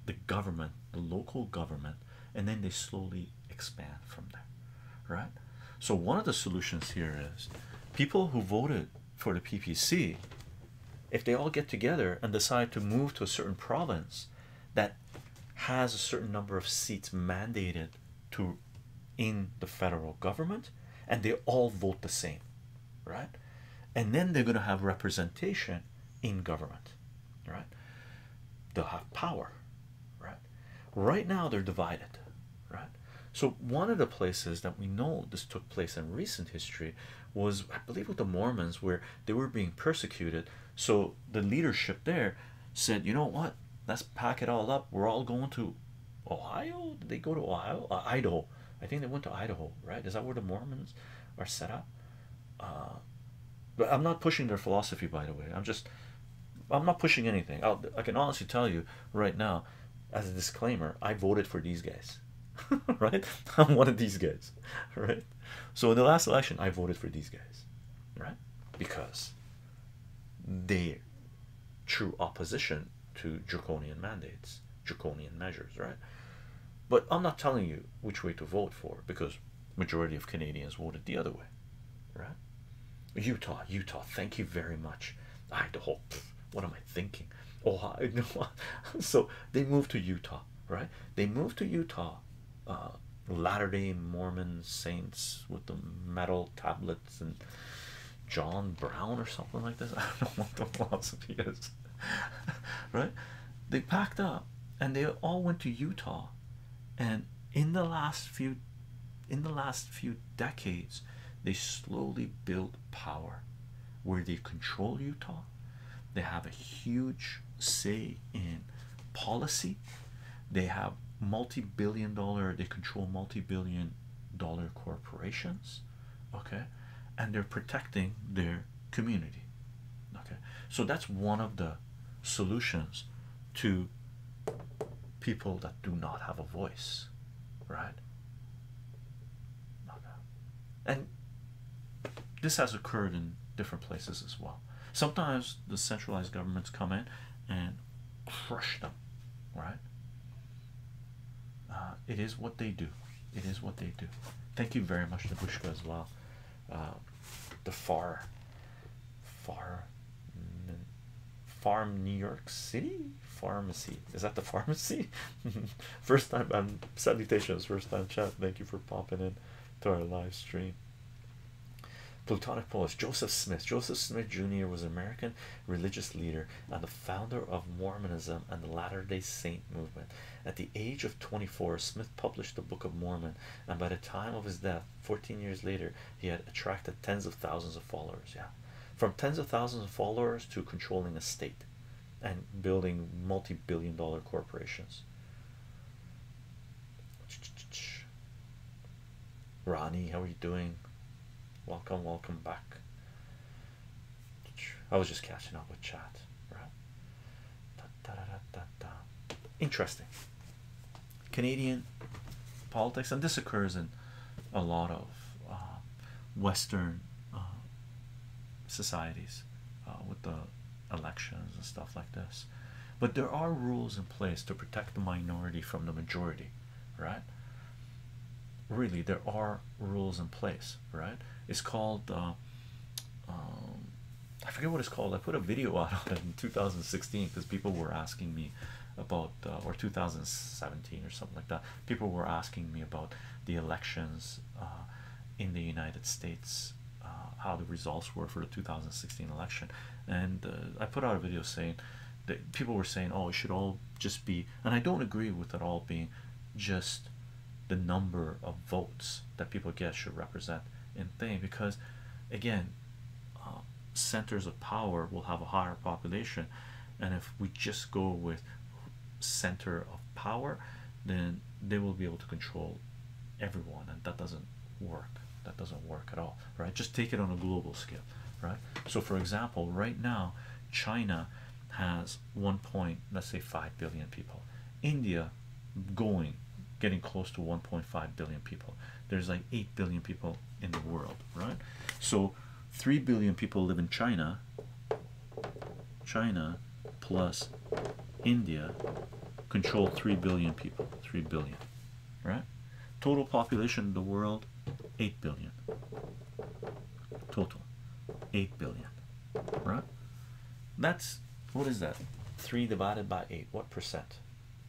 the government, the local government, and then they slowly expand from there, right? So, one of the solutions here is people who voted for the PPC, if they all get together and decide to move to a certain province that has a certain number of seats mandated to in the federal government, and they all vote the same, right? And then they're going to have representation in government right? They'll have power, right? Right now, they're divided, right? So, one of the places that we know this took place in recent history was, I believe, with the Mormons, where they were being persecuted. So, the leadership there said, You know what? Let's pack it all up. We're all going to Ohio. Did they go to Ohio? Uh, Idaho. I think they went to Idaho, right? Is that where the Mormons are set up? Uh, but I'm not pushing their philosophy by the way I'm just I'm not pushing anything i I can honestly tell you right now as a disclaimer I voted for these guys right I'm one of these guys right so in the last election I voted for these guys right because they true opposition to draconian mandates draconian measures right but I'm not telling you which way to vote for because majority of Canadians voted the other way, right? Utah, Utah, thank you very much. Idaho, what am I thinking? Oh, you know, so they moved to Utah, right? They moved to Utah, uh, Latter day Mormon saints with the metal tablets and John Brown or something like this. I don't know what the philosophy is, right? They packed up and they all went to Utah and in the last few in the last few decades they slowly built power where they control Utah they have a huge say in policy they have multi-billion dollar they control multi-billion dollar corporations okay and they're protecting their community okay so that's one of the solutions to people that do not have a voice, right? And this has occurred in different places as well. Sometimes the centralized governments come in and crush them, right? Uh, it is what they do. It is what they do. Thank you very much, Nabushka, as well. Um, the far far mm, farm New York City pharmacy is that the pharmacy first time i um, salutations first time chat thank you for popping in to our live stream Plutonic Polish Joseph Smith Joseph Smith Jr. was an American religious leader and the founder of Mormonism and the Latter-day Saint movement. At the age of 24, Smith published the Book of Mormon, and by the time of his death, 14 years later, he had attracted tens of thousands of followers. Yeah, from tens of thousands of followers to controlling a state and building multi billion dollar corporations. Ronnie, how are you doing? Welcome, welcome back. I was just catching up with chat, right? Interesting. Canadian politics, and this occurs in a lot of um, Western um, societies uh, with the elections and stuff like this. But there are rules in place to protect the minority from the majority, right? Really, there are rules in place, right? It's called uh, um, I forget what it's called. I put a video out on in 2016 because people were asking me about, uh, or 2017 or something like that. People were asking me about the elections uh, in the United States, uh, how the results were for the 2016 election, and I put out a video saying that people were saying, "Oh, it should all just be," and I don't agree with it all being just the number of votes that people get should represent in thing because again uh, centers of power will have a higher population and if we just go with center of power then they will be able to control everyone and that doesn't work that doesn't work at all right just take it on a global scale right so for example right now china has one let's say 5 billion people india going getting close to 1.5 billion people there's like 8 billion people in the world, right? So 3 billion people live in China, China plus India control 3 billion people, 3 billion, right? Total population of the world 8 billion, total 8 billion, right? That's what is that? 3 divided by 8, what percent?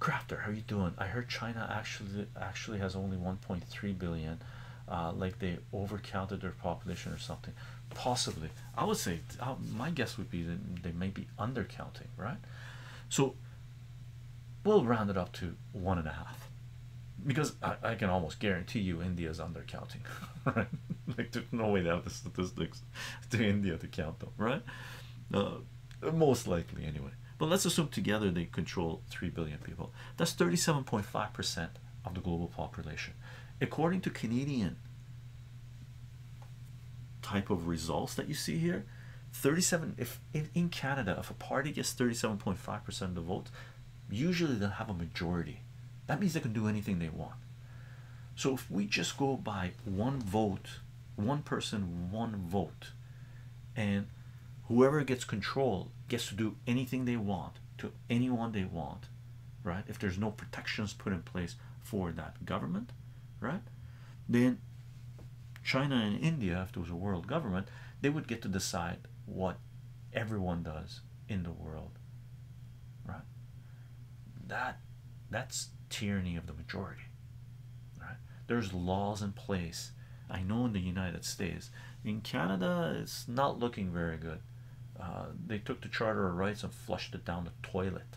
Crafter, how are you doing? I heard China actually actually has only 1.3 billion. Uh, like they overcounted their population or something. Possibly, I would say uh, my guess would be that they may be undercounting, right? So we'll round it up to one and a half because I, can almost guarantee you India's undercounting, right? like, there's no way they have the statistics to India to count them, right? Uh, most likely anyway but let's assume together they control 3 billion people that's 37.5 percent of the global population according to Canadian type of results that you see here 37 if in, in Canada if a party gets 37.5 percent of the votes, usually they'll have a majority that means they can do anything they want so if we just go by one vote one person one vote and whoever gets control gets to do anything they want to anyone they want right if there's no protections put in place for that government right then china and india if there was a world government they would get to decide what everyone does in the world right that that's tyranny of the majority right there's laws in place I know in the United States. In Canada, it's not looking very good. Uh, they took the Charter of Rights and flushed it down the toilet,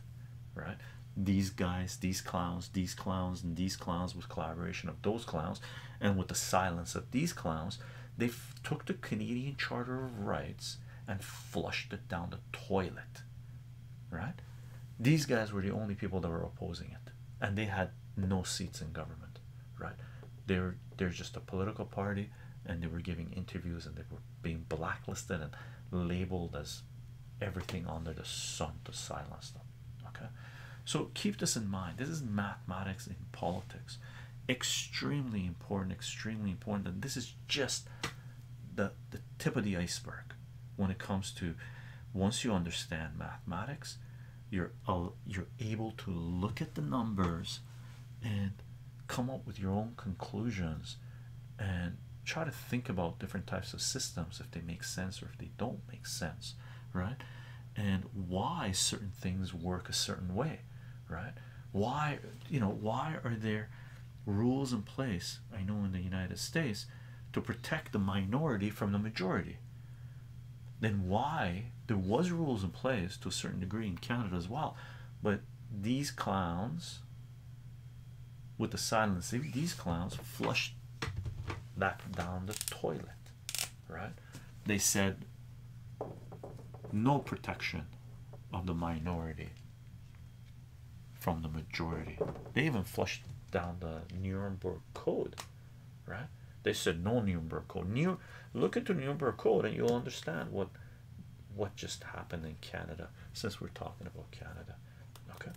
right? These guys, these clowns, these clowns, and these clowns with collaboration of those clowns, and with the silence of these clowns, they took the Canadian Charter of Rights and flushed it down the toilet, right? These guys were the only people that were opposing it and they had no seats in government, right? They were they're just a political party, and they were giving interviews, and they were being blacklisted and labeled as everything under the sun to silence them. Okay, so keep this in mind. This is mathematics in politics, extremely important, extremely important, and this is just the the tip of the iceberg when it comes to once you understand mathematics you're you're able to look at the numbers and come up with your own conclusions and try to think about different types of systems if they make sense or if they don't make sense right and why certain things work a certain way right why you know why are there rules in place i know in the united states to protect the minority from the majority then why there was rules in place to a certain degree in Canada as well, but these clowns with the silence, these clowns flushed back down the toilet, right? They said no protection of the minority from the majority. They even flushed down the Nuremberg Code, right? They said no number Code. New, look into number Code, and you'll understand what what just happened in Canada. Since we're talking about Canada, okay.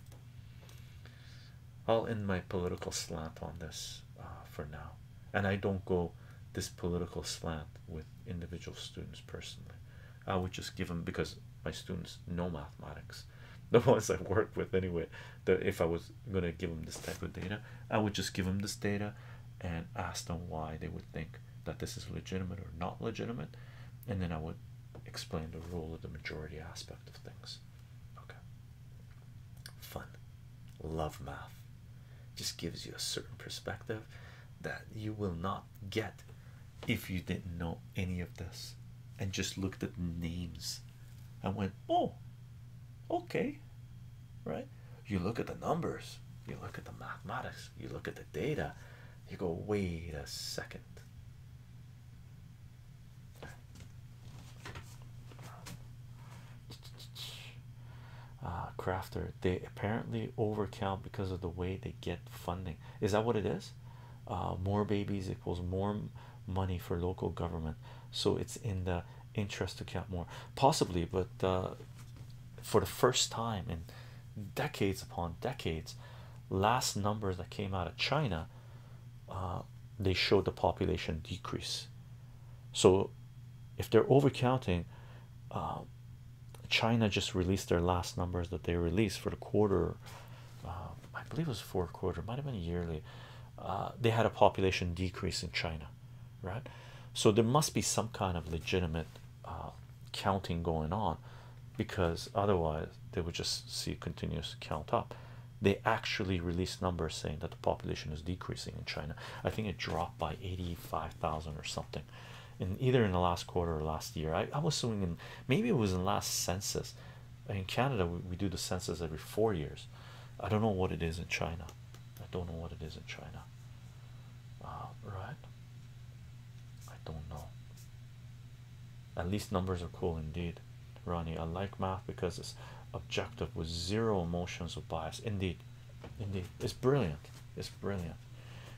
I'll end my political slant on this uh, for now, and I don't go this political slant with individual students personally. I would just give them because my students know mathematics the ones I work with anyway. That if I was I'm gonna give them this type of data, I would just give them this data and ask them why they would think that this is legitimate or not legitimate, and then I would explain the rule of the majority aspect of things. Okay, fun, love math, just gives you a certain perspective that you will not get if you didn't know any of this and just looked at the names this and went, Oh, okay, right? You look at the numbers, you look at the mathematics, you look at the data, you go, Wait a second. Uh, crafter, they apparently overcount because of the way they get funding. Is that what it is? Uh, more babies equals more money for local government, so it's in the interest to count more possibly but uh, for the first time in decades upon decades last numbers that came out of China uh, they showed the population decrease so if they're overcounting uh, China just released their last numbers that they released for the quarter uh, I believe it was fourth quarter might have been yearly uh, they had a population decrease in China, right? So there must be some kind of legitimate uh, counting going on because otherwise they would just see continuous count up. They actually released numbers saying that the population is decreasing in China. I think it dropped by 85,000 or something in either in the last quarter or last year. I, I was assuming maybe it was in last census in Canada. We, we do the census every four years I don't know what it is in China. I don't know what it is in China. Uh, right? I don't know. At least numbers are cool indeed. Ronnie, I like math because it's objective with zero emotions of bias. Indeed, indeed, it's brilliant. It's brilliant.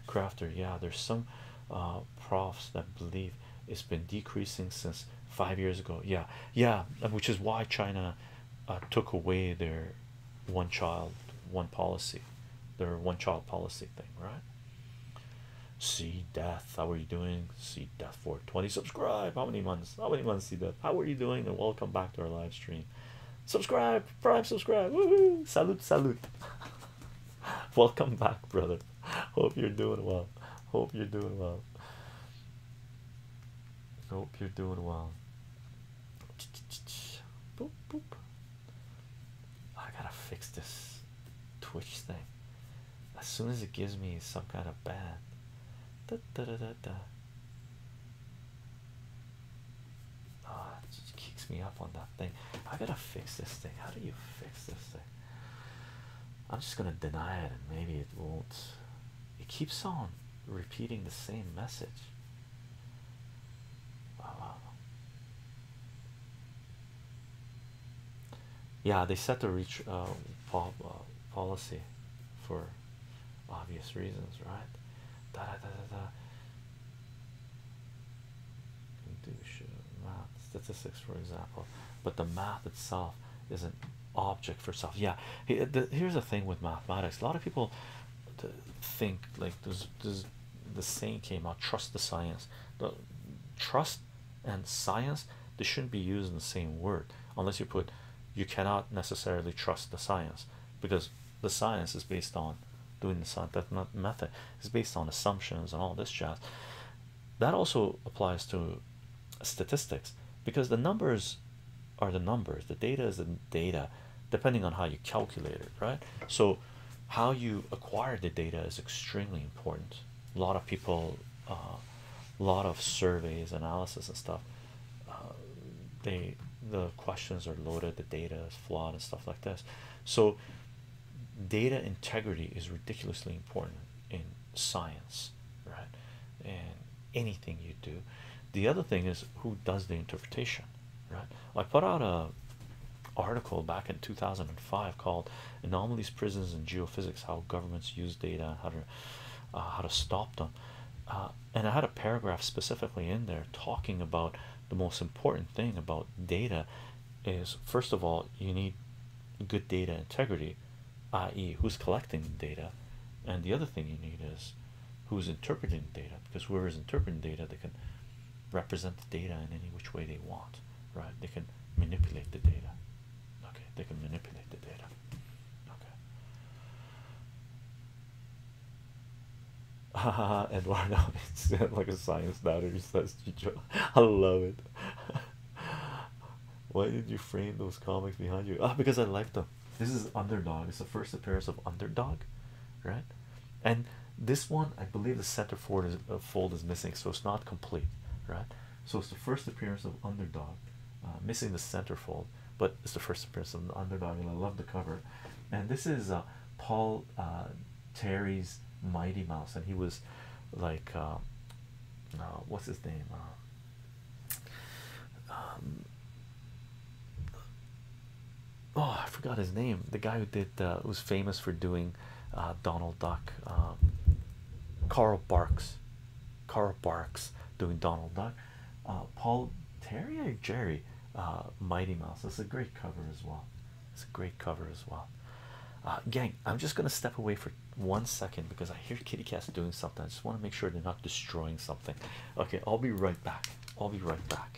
Crafter, yeah, there's some uh, profs that believe it's been decreasing since five years ago. Yeah, yeah, which is why China uh, took away their one child one policy their one child policy thing right see death how are you doing see death 420 subscribe how many months how many months see death how are you doing and welcome back to our live stream subscribe prime subscribe salute salute welcome back brother hope you're doing well hope you're doing well Hope you're doing well. Boop, boop. I gotta fix this Twitch thing as soon as it gives me some kind of bad. Da, da, da, da, da. Oh, it just kicks me up on that thing. I gotta fix this thing. How do you fix this thing? I'm just gonna deny it and maybe it won't it keeps on repeating the same message. Yeah, they set the reach uh, uh, policy for obvious reasons, right? statistics, for example, but the math itself is an object for self. Yeah, here's the thing with mathematics. A lot of people think like this. This the saying came out: trust the science. The trust and science they shouldn't be used in the same word unless you put. You cannot necessarily trust the science because the science is based on doing the science. method. It's based on assumptions and all this jazz. That also applies to statistics because the numbers are the numbers the data is the data depending on how you calculate it right so how you acquire the data is extremely important a lot of people a uh, lot of surveys analysis and stuff uh, they the questions are loaded the data is flawed and stuff like this so data integrity is ridiculously important in science right? And anything you do. The other thing is who does the interpretation, right? I put out a article back in 2005 called "Anomalies, Prisons, and Geophysics: How Governments Use Data How to uh, How to Stop Them," uh, and I had a paragraph specifically in there talking about the most important thing about data is first of all you need good data integrity i.e., who's collecting the data, and the other thing you need is who's interpreting the data because whoever is interpreting data they can represent the data in any which way they want, right? They can manipulate the data, okay? They can manipulate the data, okay. Haha, Eduardo, it's like a science doubter says, I love it. Why did you frame those comics behind you? Ah, because I liked them. This is underdog. It's the first appearance of underdog, right? And this one, I believe, the center fold is, uh, fold is missing, so it's not complete, right? So it's the first appearance of underdog, uh, missing the center fold, but it's the first appearance of underdog, and I love the cover. And this is uh, Paul uh, Terry's Mighty Mouse, and he was like, what's his name? Um, oh I forgot his name the guy who did who uh, was famous for doing uh, Donald Duck Carl um, Barks Carl Barks doing Donald Duck uh, Paul Terry or Jerry Mighty Mouse that's a great cover as well it's a great cover as well uh, gang I'm just gonna step away for one second because I hear kitty cats doing something I just want to make sure they're not destroying something Okay, I'll be right back. I'll be right back.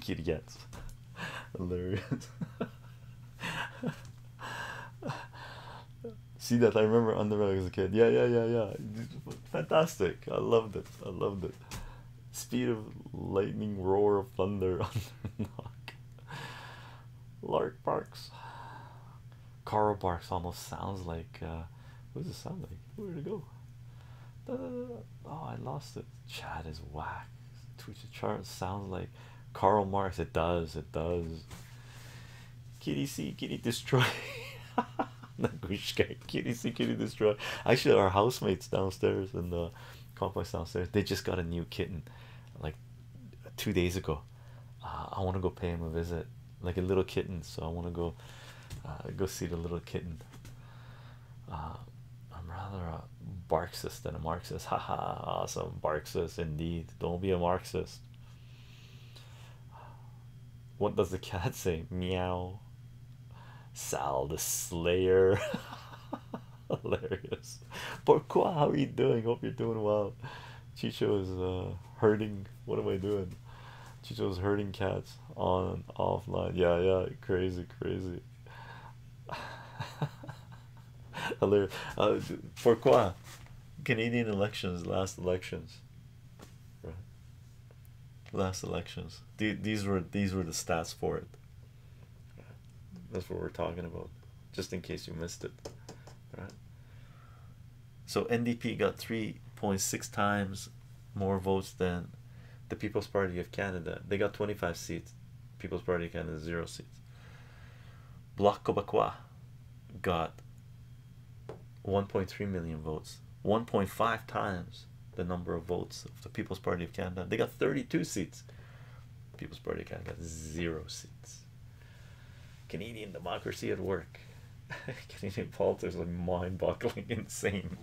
Kitty gets hilarious. See that I remember Underdog as a kid. Yeah, yeah, yeah, yeah. Fantastic. I loved it. I loved it. Speed of lightning, roar of thunder, Underdog. Lark barks. Carl Barks almost sounds like uh, what does it sound like? Where to go? Oh, I lost it. Chad is whack. Twitch chart sounds like Karl Marx. It does, it does. Kitty see, kitty destroy. kitty see, kitty destroy. Actually, our housemates downstairs in the complex downstairs, they just got a new kitten like two days ago. Uh, I want to go pay him a visit like a little kitten. So I want to go uh, go see the little kitten. Uh, I'm rather a Marxist than a Marxist. Haha, awesome Marxist indeed. Don't be a Marxist. What does the cat say? Meow. Sal the Slayer. Hilarious. Pourquoi? How are you doing? Hope you're doing well. Chicho is uh, Hurting. What am I doing? Chicho's hurting cats on offline. Yeah, yeah, crazy, crazy. Hilarious. Uh, for quoi? Canadian elections, last elections. Last elections. these were these were the stats for it. That's what we're talking about, just in case you missed it. Right. So NDP got 3.6 times more votes than the People's Party of Canada. They got 25 seats. People's Party Canada, zero seats. Bloc Québécois got 1.3 million votes, 1.5 times the number of votes of the People's Party of Canada. They got 32 seats. People's Party Canada zero seats. Canadian democracy at work. Canadian politics like mind-boggling insane.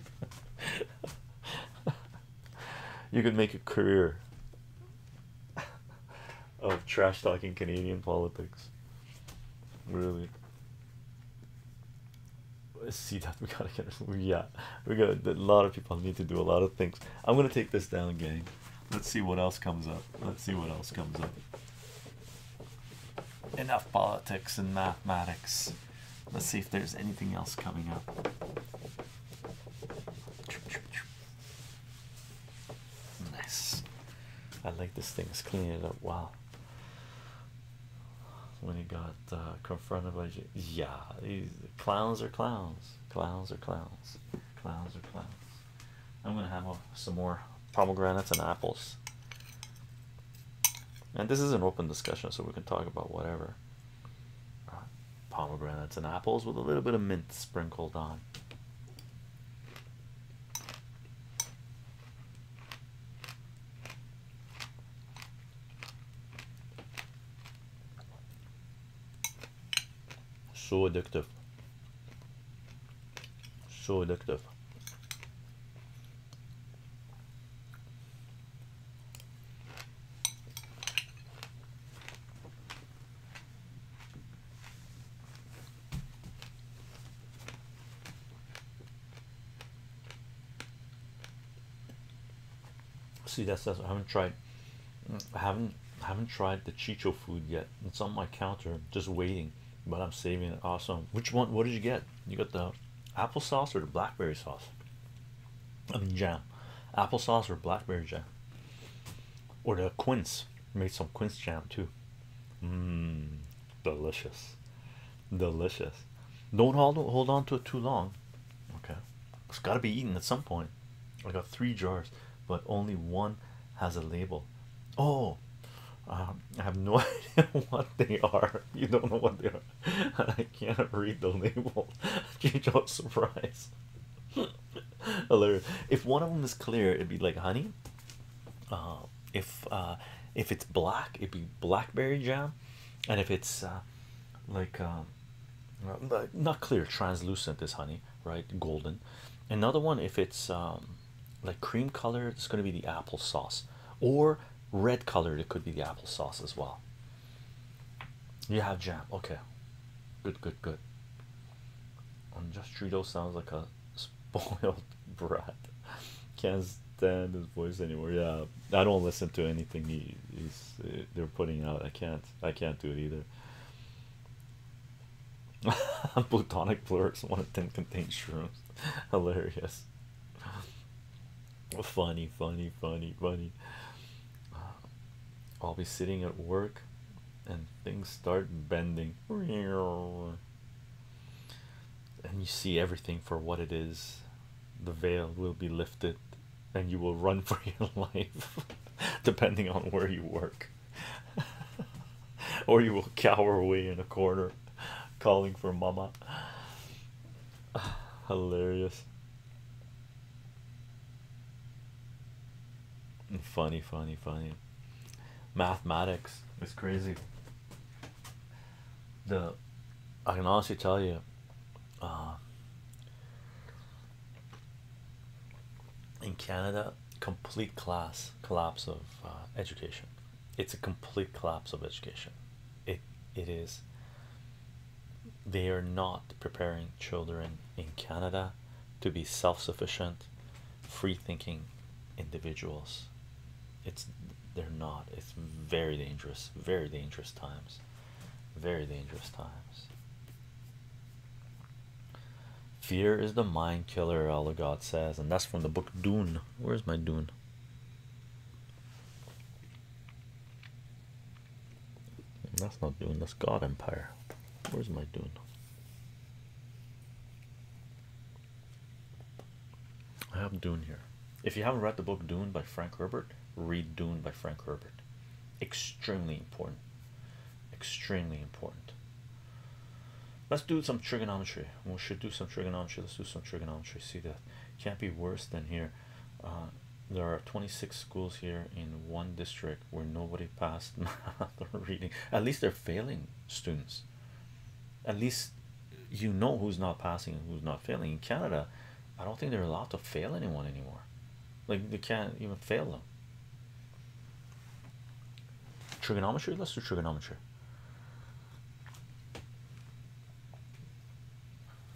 you could make a career of trash talking Canadian politics. Really. Let's see that we gotta get yeah we got a lot of people need to do a lot of things i'm gonna take this down gang let's see what else comes up let's see what else comes up Enough politics and mathematics. Let's see if there's anything else coming up. Nice. I like this thing's cleaning it up Wow. When he got uh, confronted by J yeah, these clowns are clowns, clowns are clowns, clowns are clowns. I'm gonna have some more pomegranates and apples. And this is an open discussion, so we can talk about whatever. Uh, pomegranates and apples with a little bit of mint sprinkled on. So addictive. So addictive. See that's says I haven't tried I haven't I haven't tried the Chicho food yet. It's on my counter just waiting but I'm saving it. Awesome. Which one? What did you get? You got the applesauce or the blackberry sauce? I mean, jam. Applesauce or blackberry jam? Or the quince. Made some quince jam too. Mmm. Delicious. Delicious. Don't hold, hold on to it too long. Okay. It's got to be eaten at some point. I got three jars, but only one has a label. Oh, um, I have no idea what they are. You don't know what they are. I can't read the label. Change up surprise. Hilarious. If one of them is clear, it'd be like honey. Uh, if uh, if it's black, it'd be blackberry jam, and if it's uh, like um, not clear, translucent this honey, right? Golden. Another one, if it's um, like cream color it's going to be the applesauce or red colored it could be the applesauce as well you have jam okay good good good On just Trudeau sounds like a spoiled brat can't stand his voice anymore yeah I don't listen to anything he, he's they're putting out I can't I can't do it either Plutonic blurs one of them contains shrooms. Hilarious funny, funny, funny, funny. I'll be sitting at work and things start bending, and you see everything for what it is. The veil will be lifted, and you will run for your life, depending on where you work, or you will cower away in a corner. calling for mama. Hilarious. Funny, funny, funny. Mathematics is crazy. The I can honestly tell you, uh, in Canada, complete class collapse of uh, education it's a complete collapse of education it it is they are not preparing children in Canada to be self-sufficient free-thinking individuals it's they're not it's very dangerous very dangerous times very dangerous times fear is the mind killer allah god says and that's from the book dune where's my dune that's not Dune. That's God Empire. Where's my Dune? I have Dune here. If you haven't read the book Dune by Frank Herbert, read Dune by Frank Herbert. Extremely important. Extremely important. Let's do some trigonometry. We should do some trigonometry. Let's do some trigonometry. See the can't be worse than here. Uh, there are 26 schools here in one district where nobody passed math or reading. At least they're failing students. At least you know who's not passing and who's not failing. In Canada, I don't think there are a lot of failing anyone anymore. Like they can't even fail them. Trigonometry. Let's do trigonometry.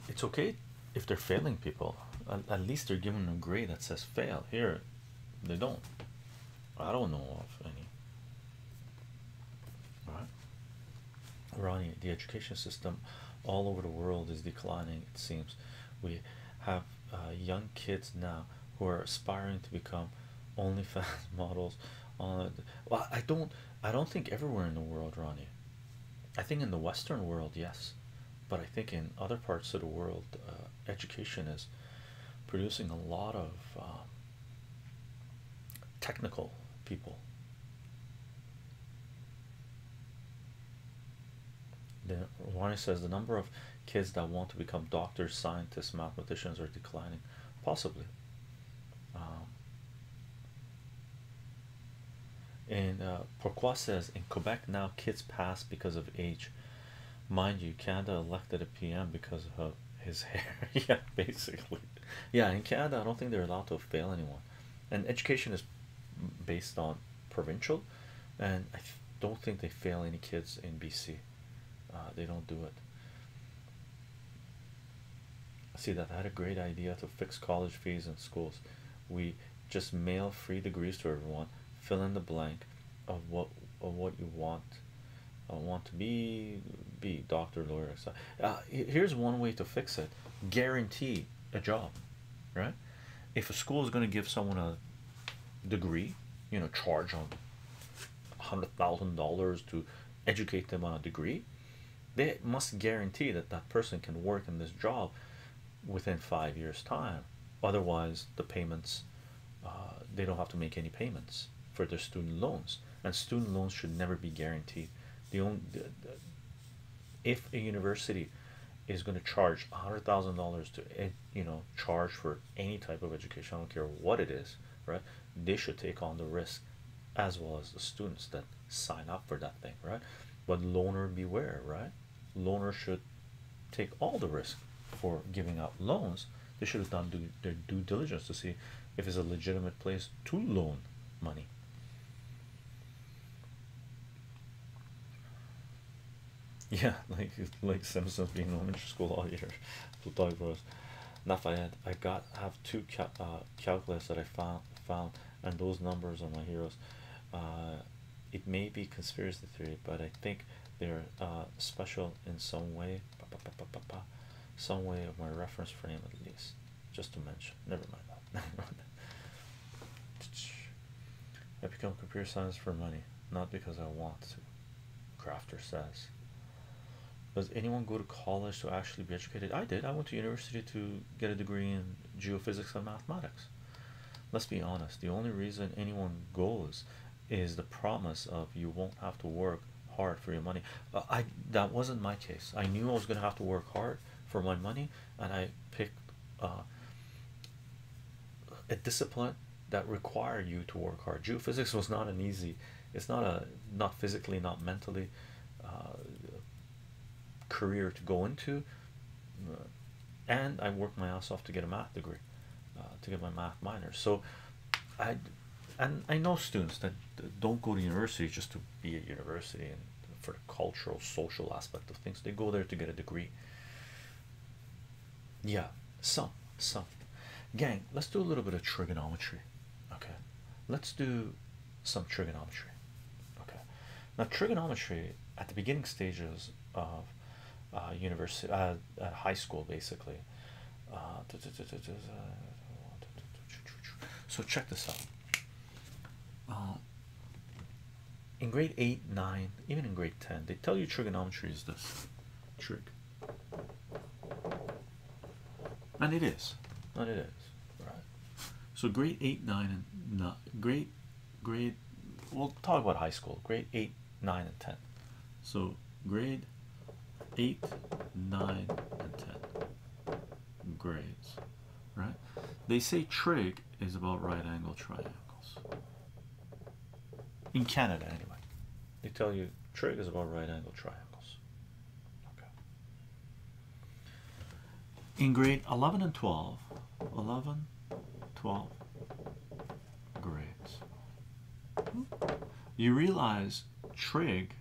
It's okay if they're failing people. At, least they're given a grade that says fail. Here, they don't. I don't know of any. Ronnie, the education system all over the world is declining, it seems. We have uh, young kids now who are aspiring to become OnlyFans models. On well, I don't I don't think everywhere in the world, Ronnie. I think in the Western world, yes, but I think in other parts of the world, uh, education is producing a lot of um, technical people. The Ronnie says the number of kids that want to become doctors, scientists, mathematicians are declining. Possibly, um, and uh, Pourquoi says in Quebec now kids pass because of age. Mind you, Canada elected a PM because of his hair. yeah, basically. Yeah, in Canada, I don't think they're allowed to fail anyone. And education is based on provincial, and I don't think they fail any kids in BC. Uh, they don't do it. See that I had a great idea to fix college fees in schools. We just mail free degrees to everyone. Fill in the blank of what of what you want. want to be be doctor, lawyer, etc. Uh, here's one way to fix it: guarantee a job, right? If a school is going to give someone a degree, you know, charge on hundred thousand dollars to educate them on a degree, they must guarantee that that person can work in this job within five years time otherwise the payments uh, they don't have to make any payments for their student loans and student loans should never be guaranteed the only if a university is going to charge a hundred thousand dollars to eh, you know charge for any type of education i don't care what it is right they should take on the risk as well as the students that sign up for that thing right but loaner beware right loaner should take all the risk for giving out loans they should have done their due diligence to see if it's a legitimate place to loan money yeah like like simpsons being elementary school all year to talk about not I had I got have two cat uh, calculus that I found found and those numbers are my heroes. Uh, it may be conspiracy theory, but I think they're uh, special in some way, some way of my reference frame at least. Just to mention, never mind that. Never mind that. I become computer science for money, not because I want to. Crafter says, does anyone go to college to actually be educated? I did. I went to university to get a degree in geophysics and mathematics. Let's be honest. The only reason anyone goes is the promise of you won't have to work hard for your money. Uh, I that wasn't my case. I knew I was going to have to work hard for my money, and I picked uh, a discipline that required you to work hard. Geophysics was not an easy it's not a not physically not mentally uh, career to go into uh, and I worked my ass off to get a math degree uh, to get my math minor so I and I know students that don't go to university just to be at university and for the cultural social aspect of things they go there to get a degree yeah some some gang let's do a little bit of trigonometry Okay, let's do some trigonometry. Okay, now trigonometry at the beginning stages of university, high school, basically. so check this out. in grade 8, 9, even in grade 10, they tell you trigonometry is this trick, And it is. And it is. Right. So grade eight, nine, and not grade grade. We'll talk about high school. Grade eight, nine, and ten. So grade eight, nine, and ten grades. Right. They say trig is about right angle triangles. In Canada, anyway. They tell you trig is about right angle triangles. Okay in grade 11 and 12 11 12 grades you realize trig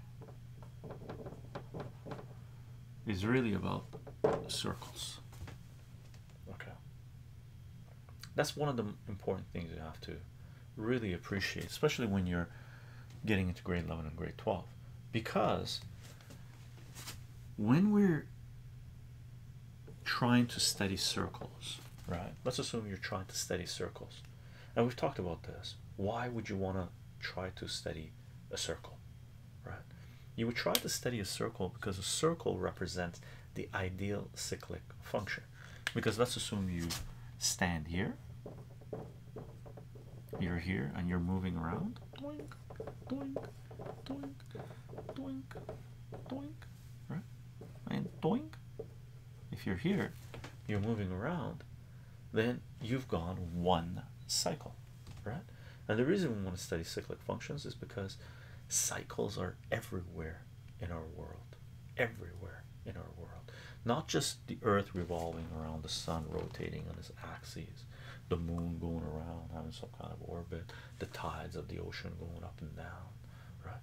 is really about circles okay that's one of the important things you have to really appreciate especially when you're getting into grade 11 and grade 12 because when we're trying to study circles right let's assume you're trying to study circles and we've talked about this why would you want to try to study a circle right you would try to study a circle because a circle represents the ideal cyclic function because let's assume you stand here you're here and you're moving around. Doink, doink, doink, doink, doink. Right? And doink. If you're here, you're moving around, then you've gone one cycle, right? And the reason we want to study cyclic functions is because cycles are everywhere in our world, everywhere in our world, not just the earth revolving around the sun rotating on its axis the moon going around having some kind of orbit the tides of the ocean going up and down right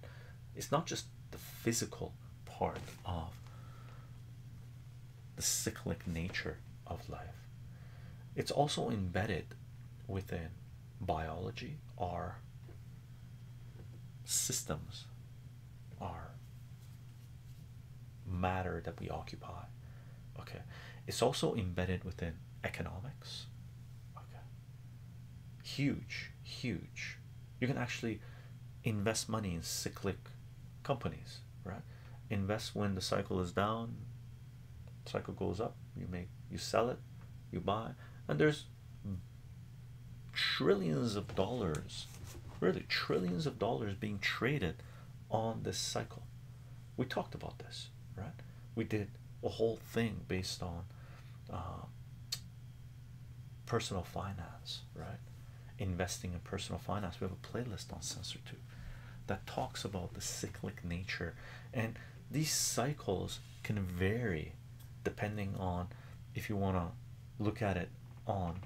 it's not just the physical part of the cyclic nature of life it's also embedded within biology our systems are matter that we occupy okay it's also embedded within economics huge huge you can actually invest money in cyclic companies right invest when the cycle is down cycle goes up you make you sell it you buy and there's trillions of dollars really trillions of dollars being traded on this cycle. We talked about this, right? We did a whole thing based on um, personal finance, right? Investing in personal finance. We have a playlist on Sensor 2 that talks about the cyclic nature, and these cycles can vary depending on if you want to look at it on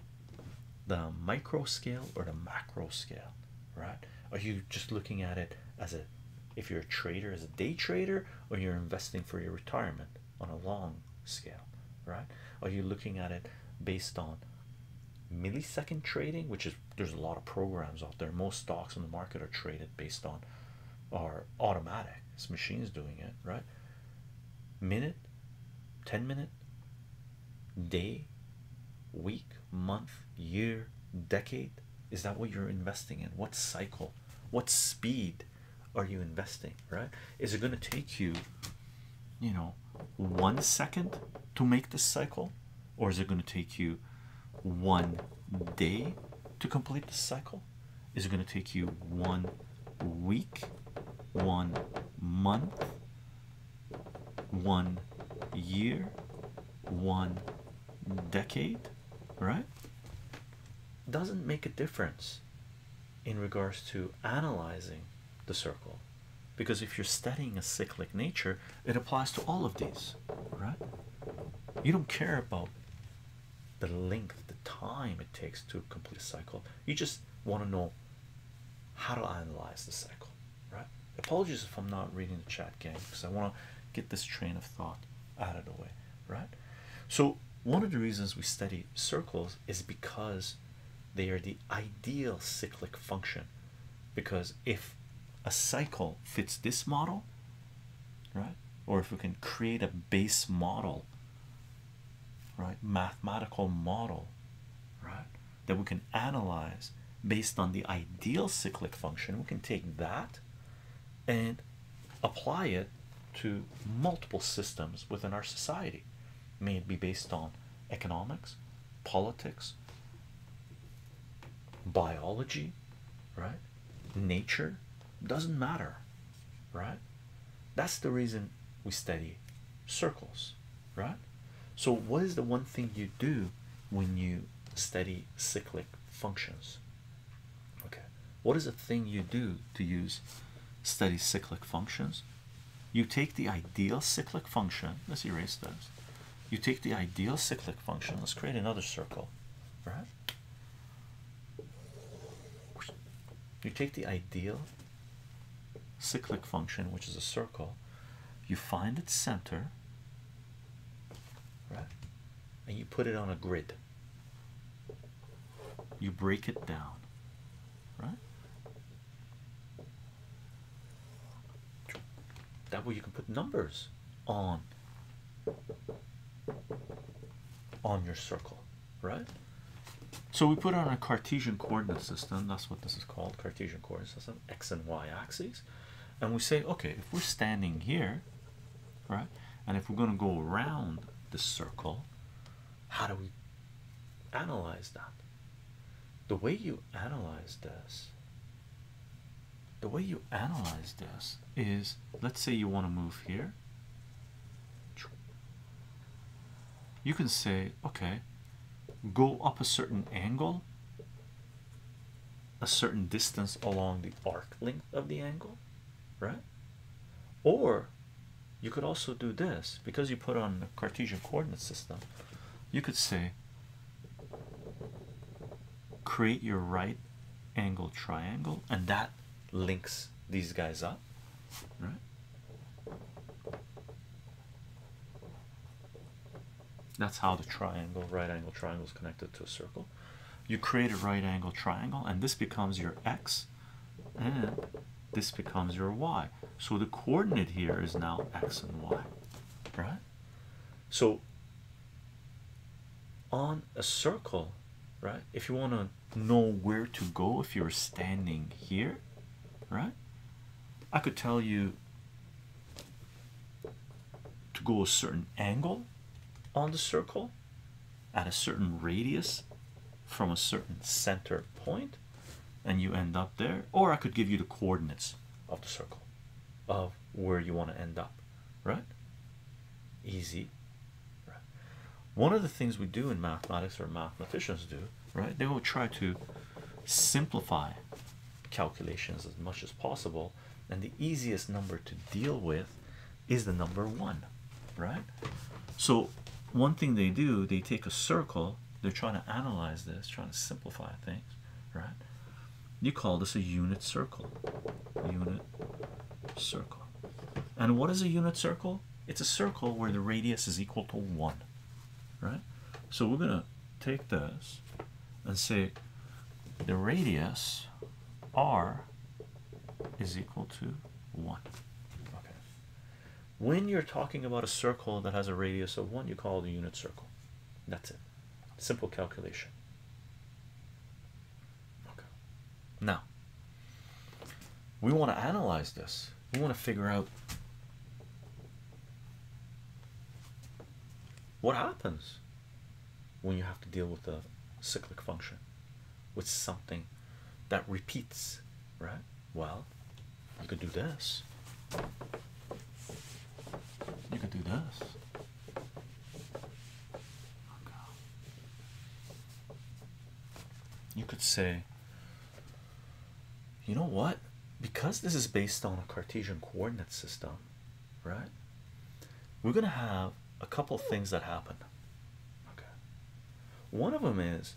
the micro scale or the macro scale, right? Are you just looking at it as a if you're a trader as a day trader or you're investing for your retirement on a long scale, right? Are you looking at it based on millisecond trading, which is there's a lot of programs out there. Most stocks on the market are traded based on are automatic. This machine's doing it, right? Minute, 10 minute, day, week, month, year, decade? Is that what you're investing in? What cycle? What speed are you investing? Right? Is it going to take you, you know, one second to make this cycle? Or is it going to take you one day to complete this cycle? Is it going to take you one week, one month, one year, one decade, right? Doesn't make a difference in regards to analyzing the circle because if you're studying a cyclic nature, it applies to all of these, right? You don't care about the length, the time it takes to complete a cycle, you just want to know how to analyze the cycle right? Apologies if I'm not reading the chat, gang, because I want to get this train of thought out of the way, right? So, one of the reasons we study circles is because they are the ideal cyclic function. Because if a cycle fits this model, right, or if we can create a base model, right, mathematical model, right, that we can analyze based on the ideal cyclic function we can take that and apply it to multiple systems within our society may it be based on economics politics biology right nature doesn't matter right that's the reason we study circles right? So, what is the one thing you do when you study cyclic functions? Okay, what is the thing you do to use study cyclic functions? You take the ideal cyclic function, let's erase those. You take the ideal cyclic function, let's create another circle, right? You take the ideal cyclic function, which is a circle, you find its center, right, and you put it on a grid. You break it down, right? That way you can put numbers on on your circle, right? So we put on a Cartesian coordinate system. That's what this is called, Cartesian coordinate system x and y axes and we say okay if we're standing here right and if we're going to go around the circle how do we analyze that the way you analyze this the way you analyze this is let's say you want to move here you can say, okay, go up a certain angle, a certain distance along the arc length of the angle, right? Or you could also do this because you put on a Cartesian coordinate system. You could say, create your right angle triangle, and that links these guys up, right? That's how the triangle, right angle triangle is connected to a circle. You create a right angle triangle, and this becomes your x, and this becomes your y. So the coordinate here is now x and y, right? So on a circle, right, if you want to know where to go, if you're standing here, right, I could tell you to go a certain angle on the circle at a certain radius from a certain center point and you end up there or i could give you the coordinates of the circle of where you want to end up right easy one of the things we do in mathematics or mathematicians do right they will try to simplify calculations as much as possible and the easiest number to deal with is the number one right so one thing they do they take a circle they're trying to analyze this trying to simplify things right you call this a unit circle unit circle and what is a unit circle it's a circle where the radius is equal to one right? So we're gonna take this and say the radius r is equal to one. Okay. When you're talking about a circle that has a radius of one, you call it a unit circle. That's it. Simple calculation. Okay. Now we want to analyze this. We want to figure out what happens when you have to deal with a cyclic function with something that repeats, right? Well, you could do this, you could do this. You could say you know what? Because this is based on a Cartesian coordinate system, right? We're gonna have a couple things that happen. Okay. One of them is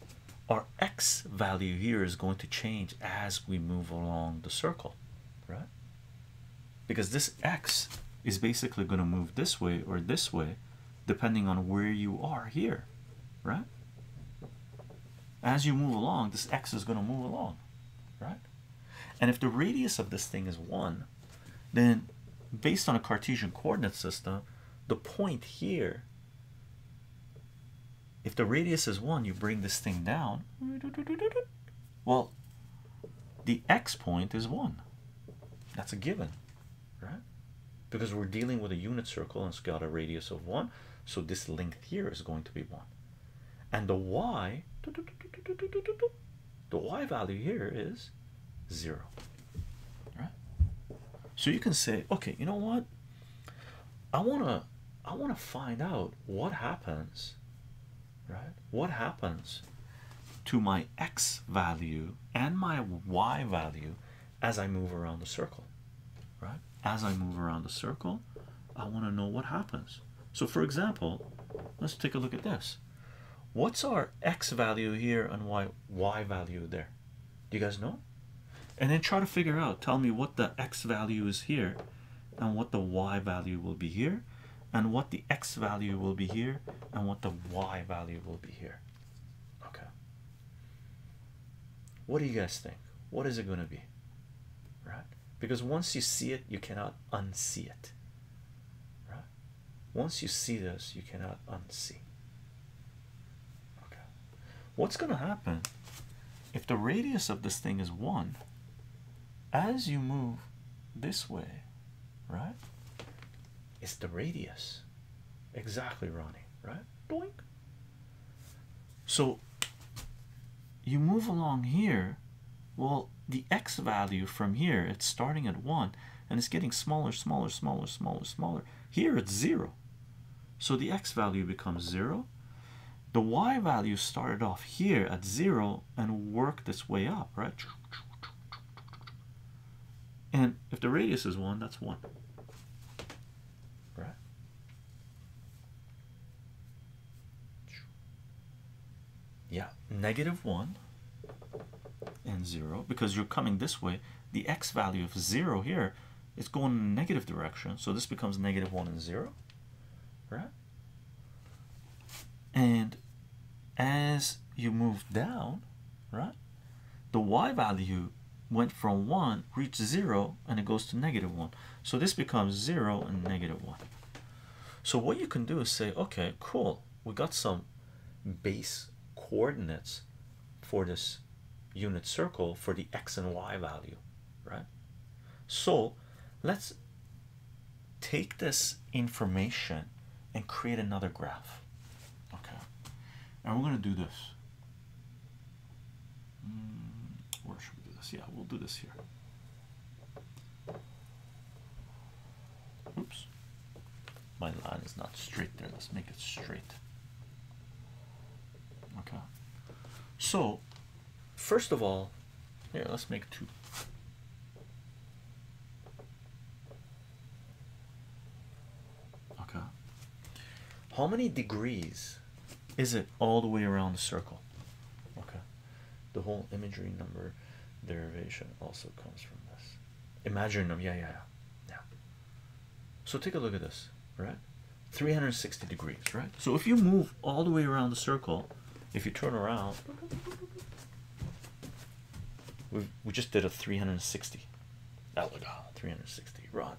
our x value here is going to change as we move along the circle, right? Because this x is basically going to move this way or this way depending on where you are here, right? as you move along this x is going to move along right and if the radius of this thing is one then based on a cartesian coordinate system the point here if the radius is one you bring this thing down well the x point is one that's a given right because we're dealing with a unit circle and it's got a radius of one so this length here is going to be one and the y the y value here is zero right so you can say okay you know what i want to i want to find out what happens right what happens to my x value and my y value as i move around the circle right as i move around the circle i want to know what happens so for example let's take a look at this what's our x value here and y y value there do you guys know and then try to figure out tell me what the x value is here and what the y value will be here and what the x value will be here and what the y value will be here okay what do you guys think what is it going to be right because once you see it, you cannot unsee it. Right? Once you see this, you cannot unsee. Okay. What's going to happen if the radius of this thing is one? As you move this way, right? It's the radius. Exactly, Ronnie. Right? Doink. So you move along here. Well, the x value from here, it's starting at 1 and it's getting smaller, smaller, smaller, smaller, smaller. Here it's 0. So the x value becomes 0. The y value started off here at 0 and worked its way up, right? And if the radius is 1, that's 1. Right? yeah negative one and zero because you're coming this way the x value of zero here is going in the negative direction so this becomes negative one and zero right and as you move down right the y value went from one reached zero and it goes to negative one so this becomes 0 and negative 1. So what you can do is say, okay, cool, we got some base coordinates for this unit circle for the x and y value, right? So let's take this information and create another graph. Okay. And we're going to do this. Mm, where should we do this? Yeah, we'll do this here. Oops, my line is not straight there. Let's make it straight. Okay, so first of all, here let's make two. Okay, how many degrees is it all the way around the circle? Okay, the whole imagery number derivation also comes from this. Imagine them, yeah, yeah, yeah. yeah. So take a look at this, right? 360 degrees, right? So if you move all the way around the circle, if you turn around, we we just did a 360. That look out, 360, Ronnie.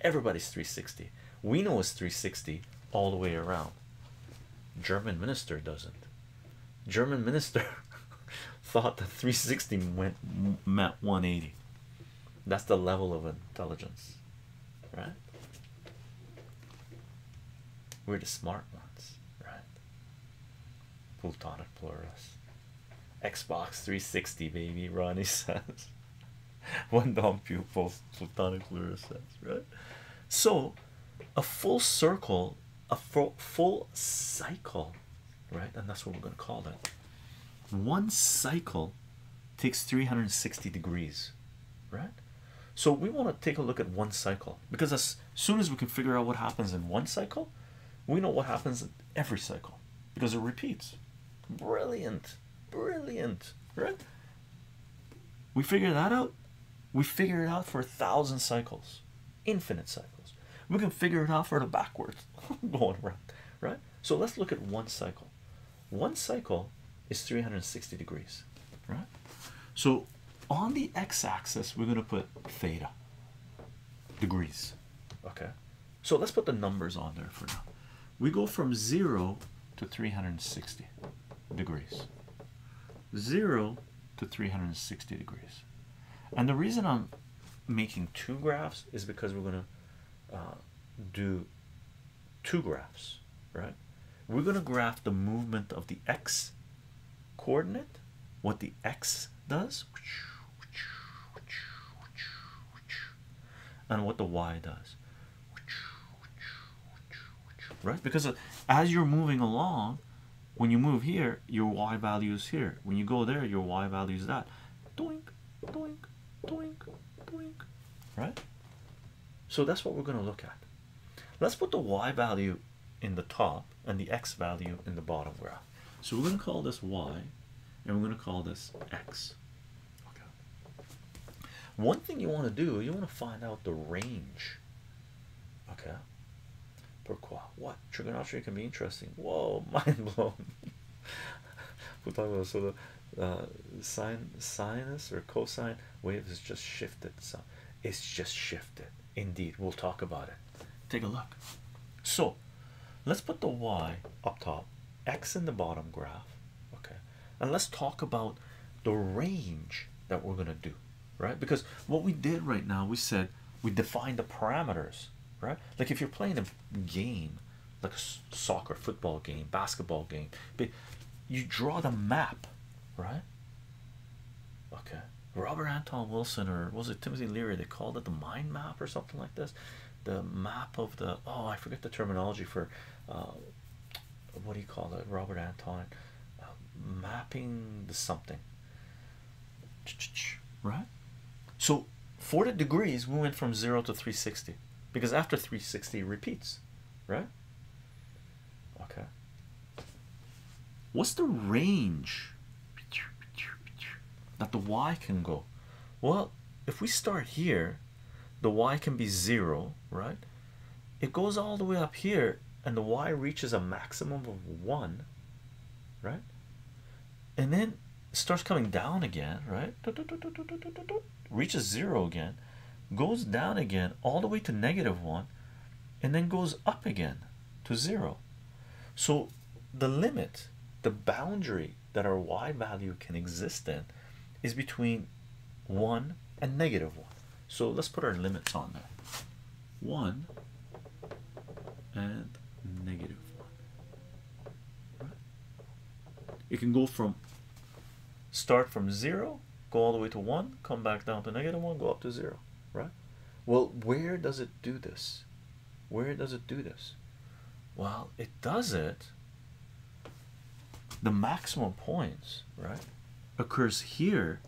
Everybody's 360. We know it's 360 all the way around. German minister doesn't. German minister thought the 360 went met 180. That's the level of intelligence, right? We're the smart ones, right? Plutonic plurals. Xbox 360, baby, Ronnie says. one down pupils platonic fluorescence right so a full circle a full, cycle right and that's what we're going to call it one cycle takes 360 degrees right so we want to take a look at one cycle because as soon as we can figure out what happens in one cycle we know what happens in every cycle because it repeats brilliant brilliant right we figure that out. We figure it out for a thousand cycles, infinite cycles. We can figure it out for the backwards going around, right? So let's look at one cycle. One cycle is 360 degrees, right? So on the x-axis, we're gonna put theta degrees. Okay, so let's put the numbers on there for now we go from 0 to 360 degrees 0 to 360 degrees and the reason i'm making two graphs is because we're going to uh, do two graphs right we're going to graph the movement of the x coordinate what the x does and what the y does right? Because uh, as you're moving along, when you move here, your y value is here. When you go there, your y value is that. right? So that's what we're going to look at. Let's put the y value in the top and the x value in the bottom graph. So we're going to call this y and we're going to call this x. Okay. One thing you want to do, you want to find out the range. Okay. Pourquoi? What? Trigonometry can be interesting. Whoa, mind blown. We're talking about so the uh, sine sinus or cosine wave is just shifted. So it's just shifted. Indeed, we'll talk about it. Take a look. So let's put the y up top, x in the bottom graph. Okay, and let's talk about the range that we're going to do right because what we did right now we said we defined the parameters right like if you're playing a game like a soccer football game basketball game but you draw the map right okay robert anton wilson or was it timothy leary they called it the mind map or something like this the map of the oh i forget the terminology for uh, what do you call it, Robert Anton, um, mapping the something, right? So, 40 degrees, we went from 0 to 360 because after 360 repeats, right? Okay, what's the range that the Y can go? Well, if we start here the y can be zero, right? It goes all the way up here, and the y reaches a maximum of one, right? And then starts coming down again, right? Reaches zero again, goes down again, all the way to negative one, and then goes up again to zero. So the limit, the boundary that our y value can exist in is between 1 and negative 1. So let's put our limits on there. 1 and negative 1. It can go from start from 0, go all the way to 1, come back down to negative 1, go up to 0, right? Well, where does it do this? Where does it do this? Well, it does it the maximum points right occurs here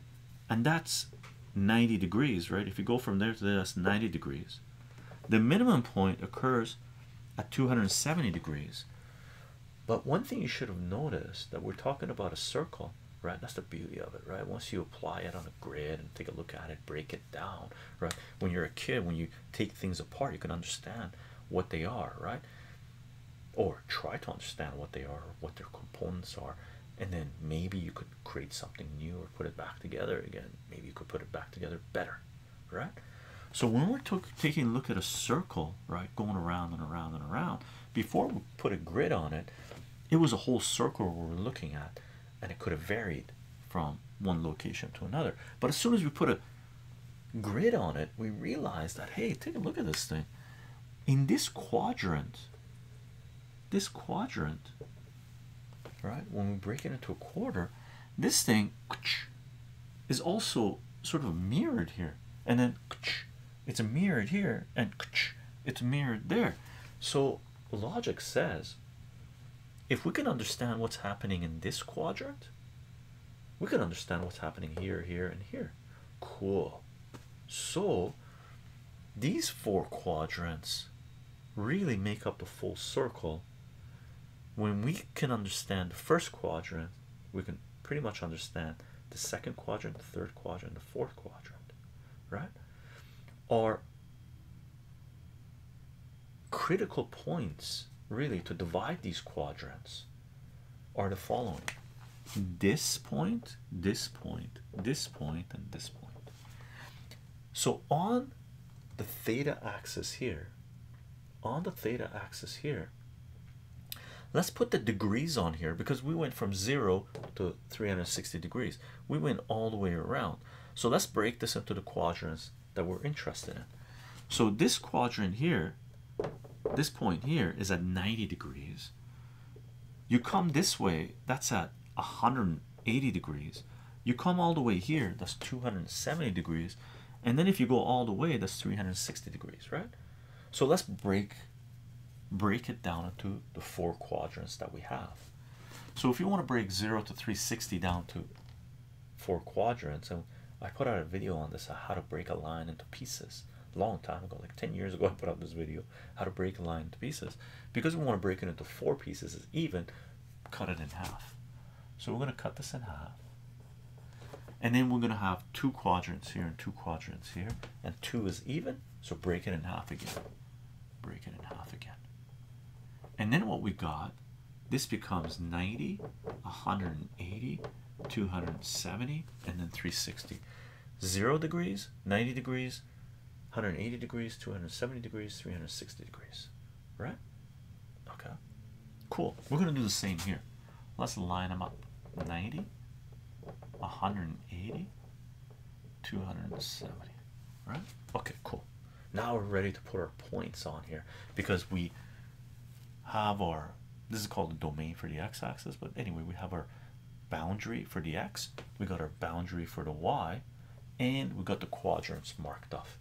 and that's 90 degrees right if you go from there to there that's 90 degrees the minimum point occurs at 270 degrees but one thing you should have noticed that we're talking about a circle right that's the beauty of it right once you apply it on a grid and take a look at it break it down right when you're a kid when you take things apart you can understand what they are right or try to understand what they are, what their components are, and then maybe you could create something new or put it back together again. Maybe you could put it back together better, right? So, when we're taking a look at a circle, right, going around and around and around, before we put a grid on it, it was a whole circle we were looking at, and it could have varied from one location to another. But as soon as we put a grid on it, we realize that hey, take a look at this thing. In this quadrant, this quadrant, right? When we break it into a quarter, this thing is also sort of mirrored here, and then it's mirrored here, and it's mirrored there. So logic says if we can understand what's happening in this quadrant, we can understand what's happening here, here, and here. Cool. So these four quadrants really make up a full circle. When we can understand the first quadrant, we can pretty much understand the second quadrant, the third quadrant, the fourth quadrant, right? Are critical points really to divide these quadrants are the following this point, this point, this point, and this point. So on the theta axis here, on the theta axis here, let's put the degrees on here because we went from 0 to 360 degrees. We went all the way around. So let's break this into the quadrants that we're interested in. So this quadrant here this point here is at 90 degrees you come this way that's at 180 degrees you come all the way here that's 270 degrees and then if you go all the way that's 360 degrees right so let's break break it down into the four quadrants that we have so if you want to break 0 to 360 down to four quadrants and I put out a video on this how to break a line into pieces long time ago, like 10 years ago, I put out this video how to break a line into pieces because we want to break it into four pieces, is even cut it in half. So we're going to cut this in half, and then we're going to have two quadrants here and two quadrants here, and two is even. So break it in half again, break it in half again. And then what we got this becomes 90, 180, 270 and then 360 0 degrees 90 degrees 180 degrees 270 degrees 360 degrees right okay cool we're gonna do the same here let's line them up 90 180 270 right okay cool now we're ready to put our points on here because we have our this is called the domain for the x-axis but anyway we have our boundary for the x we got our boundary for the y and we got the quadrants marked off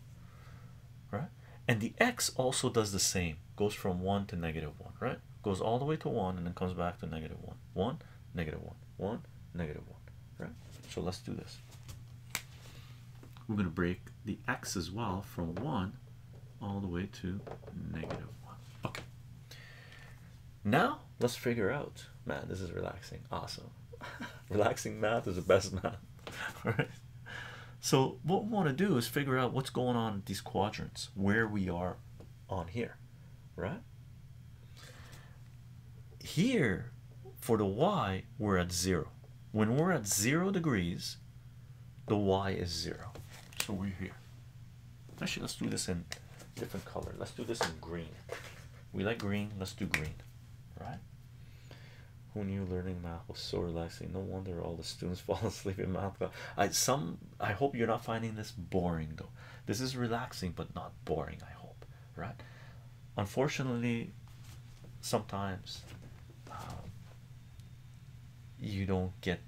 right and the x also does the same goes from 1 to negative 1 right goes all the way to 1 and then comes back to negative 1 1 negative 1 1 negative 1 right so let's do this we're going to break the x as well from 1 all the way to negative one. Okay. Now let's figure out. Man, this is relaxing. Awesome. relaxing math is the best math. all right. So what we want to do is figure out what's going on in these quadrants, where we are on here, right? Here, for the y, we're at zero. When we're at zero degrees, the y is zero. So we're here. Actually, let's do this in different color. Let's do this in green. We like green. Let's do green, right? Who knew learning math was so relaxing? No wonder all the students fall asleep in math class. I some. I hope you're not finding this boring though. This is relaxing but not boring. I hope, right? Unfortunately, sometimes um, you don't get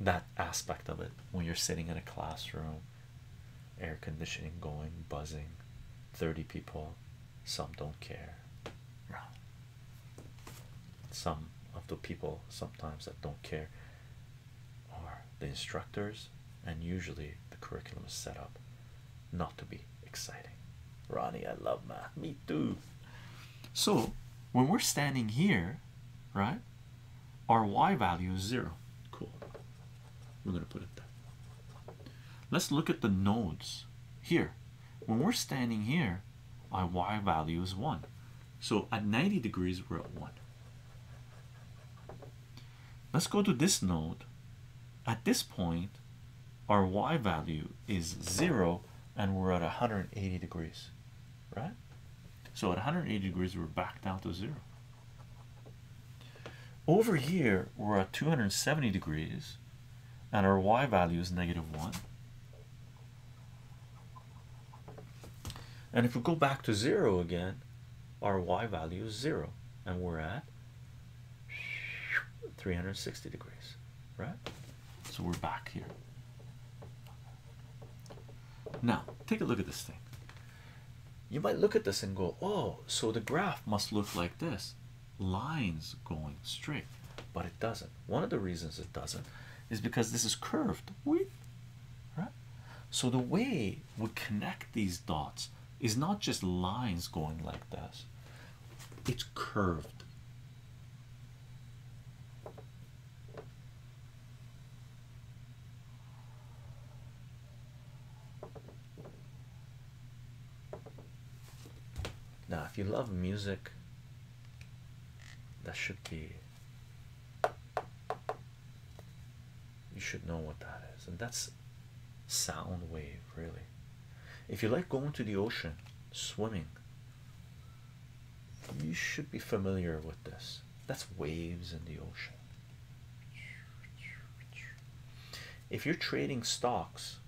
that aspect of it when you're sitting in a classroom air conditioning going buzzing 30 people some don't care some of the people sometimes that don't care are the instructors and usually the curriculum is set up not to be exciting ronnie i love math me too so when we're standing here, right, our y value is zero. Cool. We're gonna put it there. Let's look at the nodes here. When we're standing here, our y value is one. So at 90 degrees, we're at one. Let's go to this node. At this point, our y value is zero and we're at 180 degrees right? So at 180 degrees, we're back down to zero. Over here, we're at 270 degrees, and our y value is negative one. And if we go back to zero again, our y value is zero, and we're at 360 degrees right? So we're back here. Now, take a look at this thing. You might look at this and go, Oh, so the graph must look like this lines going straight, but it doesn't. One of the reasons it doesn't is because this is curved, right? So the way we connect these dots is not just lines going like this, it's curved now, if you love music, that should be you should know what that is, and that's sound wave, really. If you like going to the ocean, swimming, you should be familiar with this. That's waves in the ocean. If you're trading stocks,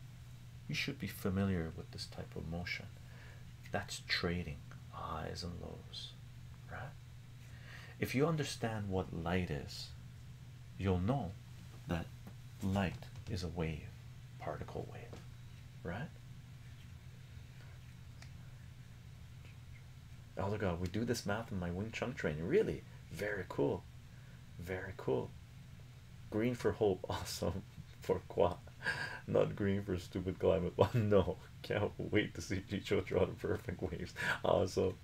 you should be familiar with this type of motion. That's trading highs and lows, right? If you understand what light is, you'll know that light is a wave, particle wave, right? Elder God, we do this math in my Wing Chun training. Really? Very cool. Very cool. Green for hope, awesome for qua. Not green for stupid climate. Well, no, can't wait to see Chicho draw the perfect waves. Awesome.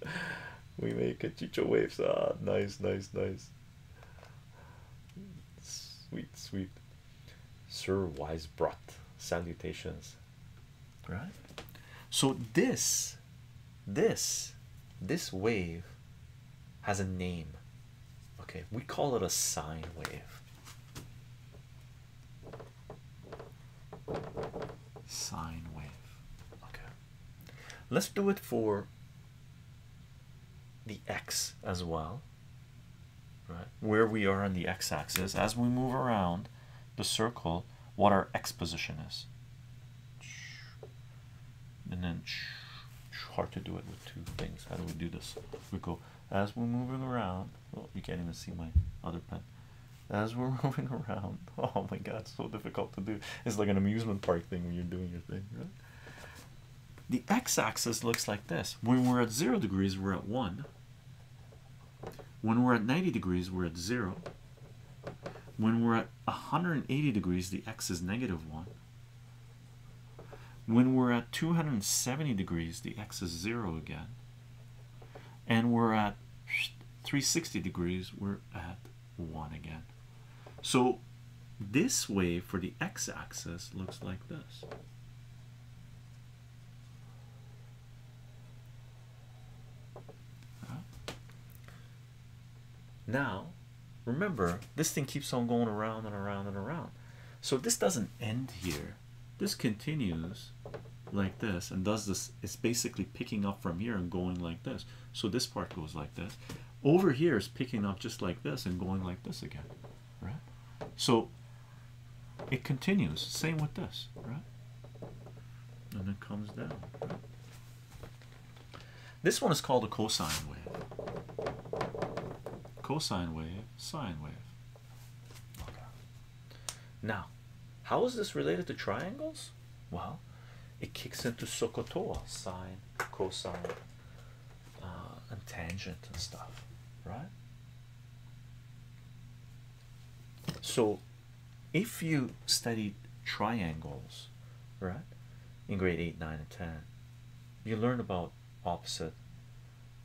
We make a Chicho waves. Ah, nice, nice, nice. Sweet, sweet. Sir wise Weisbrot, salutations. Right. So this, this, this wave has a name. Okay, we call it a sine wave. Sine wave. Okay. Let's do it for the X as well where we are on the x-axis as we move around the circle what our x position is and then hard to do it with two things how do we do this we go as we're moving around oh you can't even see my other pen as we're moving around oh my god so difficult to do it's like an amusement park thing when you're doing your thing right the x-axis looks like this when we're at zero degrees we're at one when we're at 90 degrees we're at zero when we're at 180 degrees the x is negative one when we're at 270 degrees the x is zero again and we're at 360 degrees we're at one again so this wave for the x-axis looks like this now, remember, this thing keeps on going around and around and around. So this doesn't end here. This continues like this and does this. It's basically picking up from here and going like this. So this part goes like this. Over here is picking up just like this and going like this again, right? So it continues. Same with this, right? And it comes down. This one is called a cosine wave. Cosine wave, sine wave. Now, how is this related to triangles? Well, it kicks into Sokotoa sine, cosine, uh, and tangent and stuff, right? So, if you studied triangles, right, in grade 8, 9, and 10, you learn about opposite,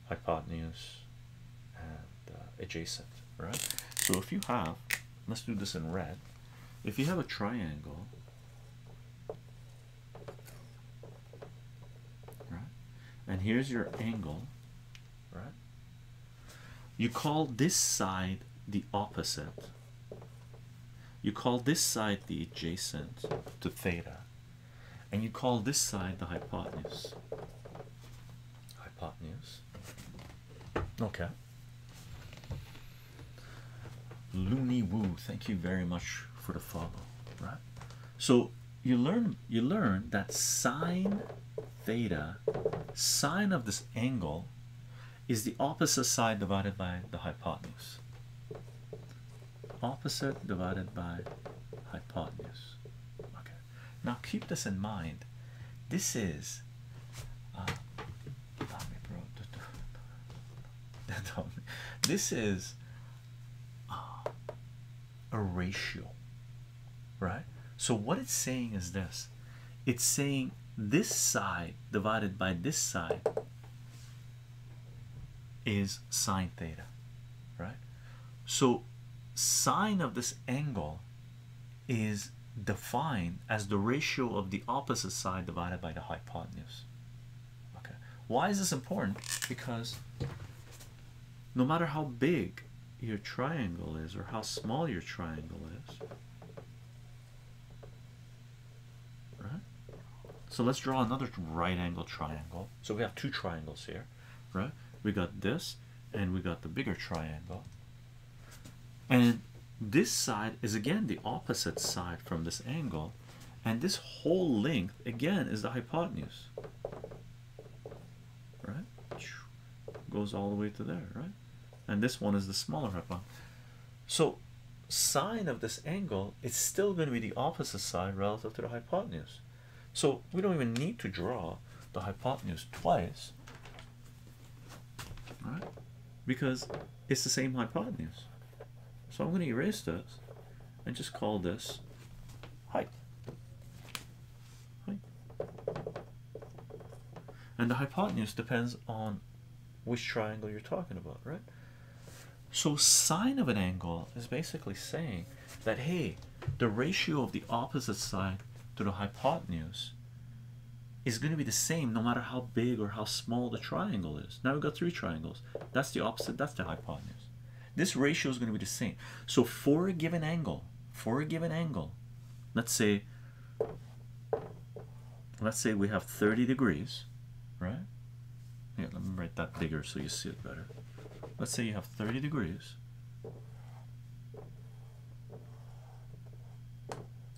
hypotenuse, and uh, adjacent, right? So, if you have, let's do this in red, if you have a triangle, right? And here's your angle, right? You call this side the opposite, you call this side the adjacent to theta, and you call this side the hypotenuse. Hypotenuse, okay. Loony Woo, thank you very much for the follow, right? So you learn you learn that sine theta sine of this angle is the opposite side divided by the hypotenuse. Opposite divided by hypotenuse. Okay. Now keep this in mind. This is uh, this is uh, a ratio, right? So, what it's saying is this it's saying this side divided by this side is sine theta, right? So, sine of this angle is defined as the ratio of the opposite side divided by the hypotenuse. Okay, why is this important? Because no matter how big your triangle is or how small your triangle is right so let's draw another right angle triangle so we have two triangles here right we got this and we got the bigger triangle and this side is again the opposite side from this angle and this whole length again is the hypotenuse right? Goes all the way to there, right? And this one is the smaller hypotenuse. So sine of this angle, it's still going to be the opposite side relative to the hypotenuse. So we don't even need to draw the hypotenuse twice, right? Because it's the same hypotenuse. So I'm going to erase this. I just call this height. height. And the hypotenuse depends on which triangle you're talking about, right? So sine of an angle is basically saying that, hey, the ratio of the opposite side to the hypotenuse is going to be the same no matter how big or how small the triangle is. Now we've got three triangles. That's the opposite. That's the hypotenuse. This ratio is going to be the same. So for a given angle, for a given angle, let's say let's say we have 30 degrees, right? Yeah, let me write that bigger so you see it better. Let's say you have 30 degrees.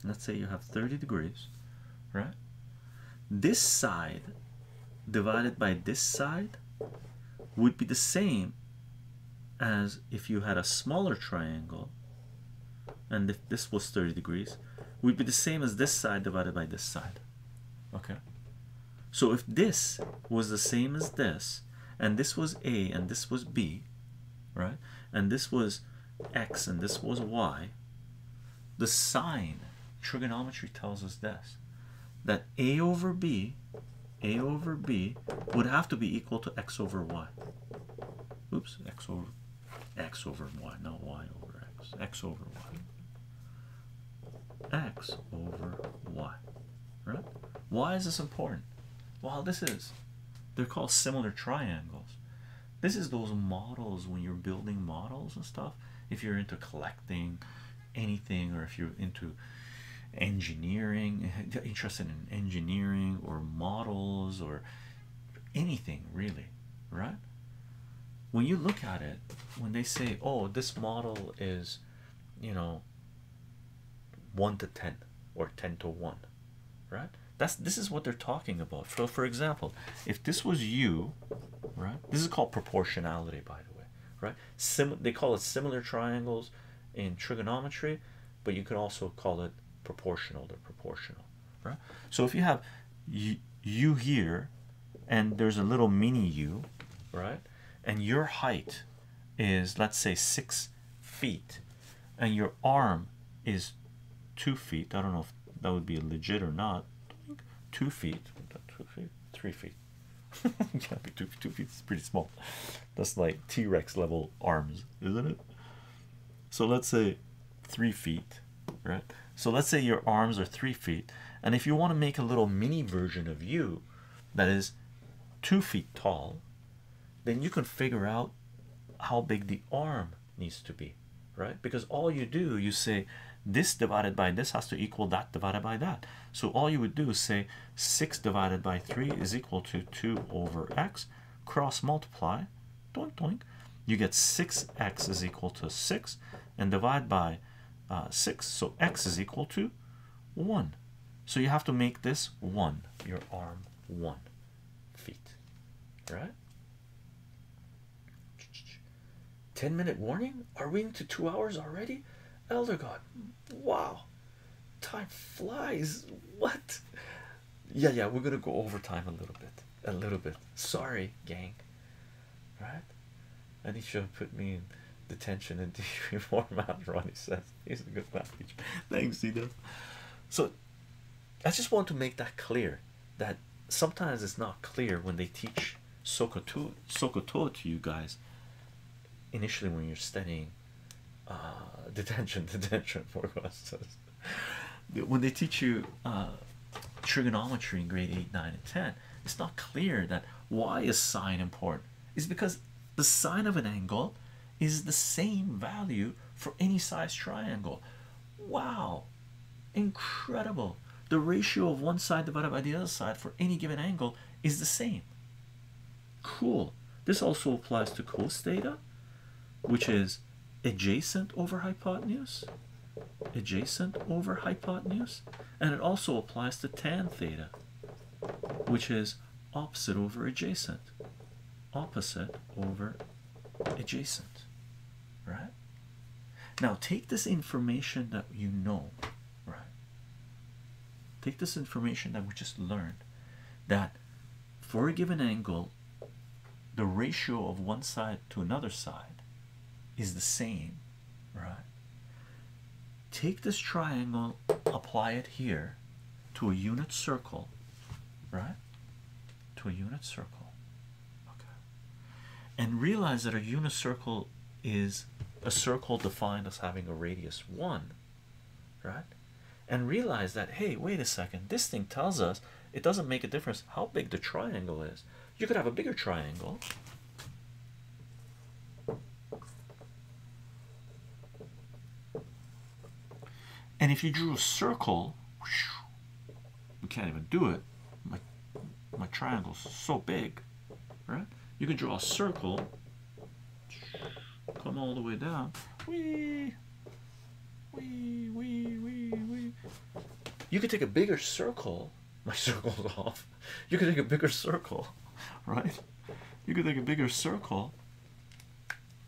Let's say you have 30 degrees, right? This side divided by this side would be the same as if you had a smaller triangle and if this was 30 degrees would be the same as this side divided by this side okay so if this was the same as this and this was a and this was b right and this was x and this was y the sine trigonometry tells us this that a over b a over b would have to be equal to x over y oops x over x over y not y over x x over y x over y right why is this important well this is they're called similar triangles this is those models when you're building models and stuff if you're into collecting anything or if you're into engineering interested in engineering or models or anything really right when you look at it when they say oh this model is you know 1 to 10 or 10 to 1 right that's this is what they're talking about so for example if this was you right this is called proportionality by the way right sim they call it similar triangles in trigonometry but you can also call it proportional They're proportional right so if you have you, you here and there's a little mini you right and your height is let's say six feet and your arm is two feet i don't know if that would be legit or not two feet two feet three feet yeah, two, two feet is pretty small. That's like T Rex level arms, isn't it? So let's say three feet, right? So let's say your arms are three feet, and if you want to make a little mini version of you that is two feet tall, then you can figure out how big the arm needs to be, right? Because all you do, you say this divided by this has to equal that divided by that. So all you would do is say 6 divided by 3 is equal to 2 over x. Cross multiply, you get 6x is equal to 6 and divide by uh, 6. So x is equal to 1. So you have to make this 1, your arm 1 feet, right? 10 minute warning? Are we into two hours already? Elder God, wow. Time flies. What? Yeah, yeah, we're gonna go over time a little bit. A little bit. Sorry, gang. Right? I need you to put me in detention and reformat, Ronnie says. He's a good math teacher. Thanks, Zito. So I just want to make that clear that sometimes it's not clear when they teach Sokoto Sokoto to you guys initially when you're studying uh, detention, detention, for forecasts. when they teach you uh, trigonometry in grade 8, 9, and 10, it's not clear that why is sine important. It's because the sine of an angle is the same value for any size triangle. Wow, incredible! The ratio of one side divided by the other side for any given angle is the same. Cool. This also applies to cos theta, which is adjacent over hypotenuse, adjacent over hypotenuse, and it also applies to tan theta, which is opposite over adjacent, opposite over adjacent, right? Now take this information that you know right? Take this information that we just learned that for a given angle, the ratio of one side to another side is the same, right? Take this triangle, apply it here to a unit circle, right? To a unit circle, okay, and realize that a unit circle is a circle defined as having a radius one right? And realize that hey, wait a second, this thing tells us it doesn't make a difference how big the triangle is. You could have a bigger triangle. And if you drew a circle, we can't even do it. My my triangle's so big, right? You can draw a circle Come all the way down. Wee! Wee, wee, wee, wee. You could take a bigger circle. My circle's off. You could take a bigger circle, right? You could take a bigger circle.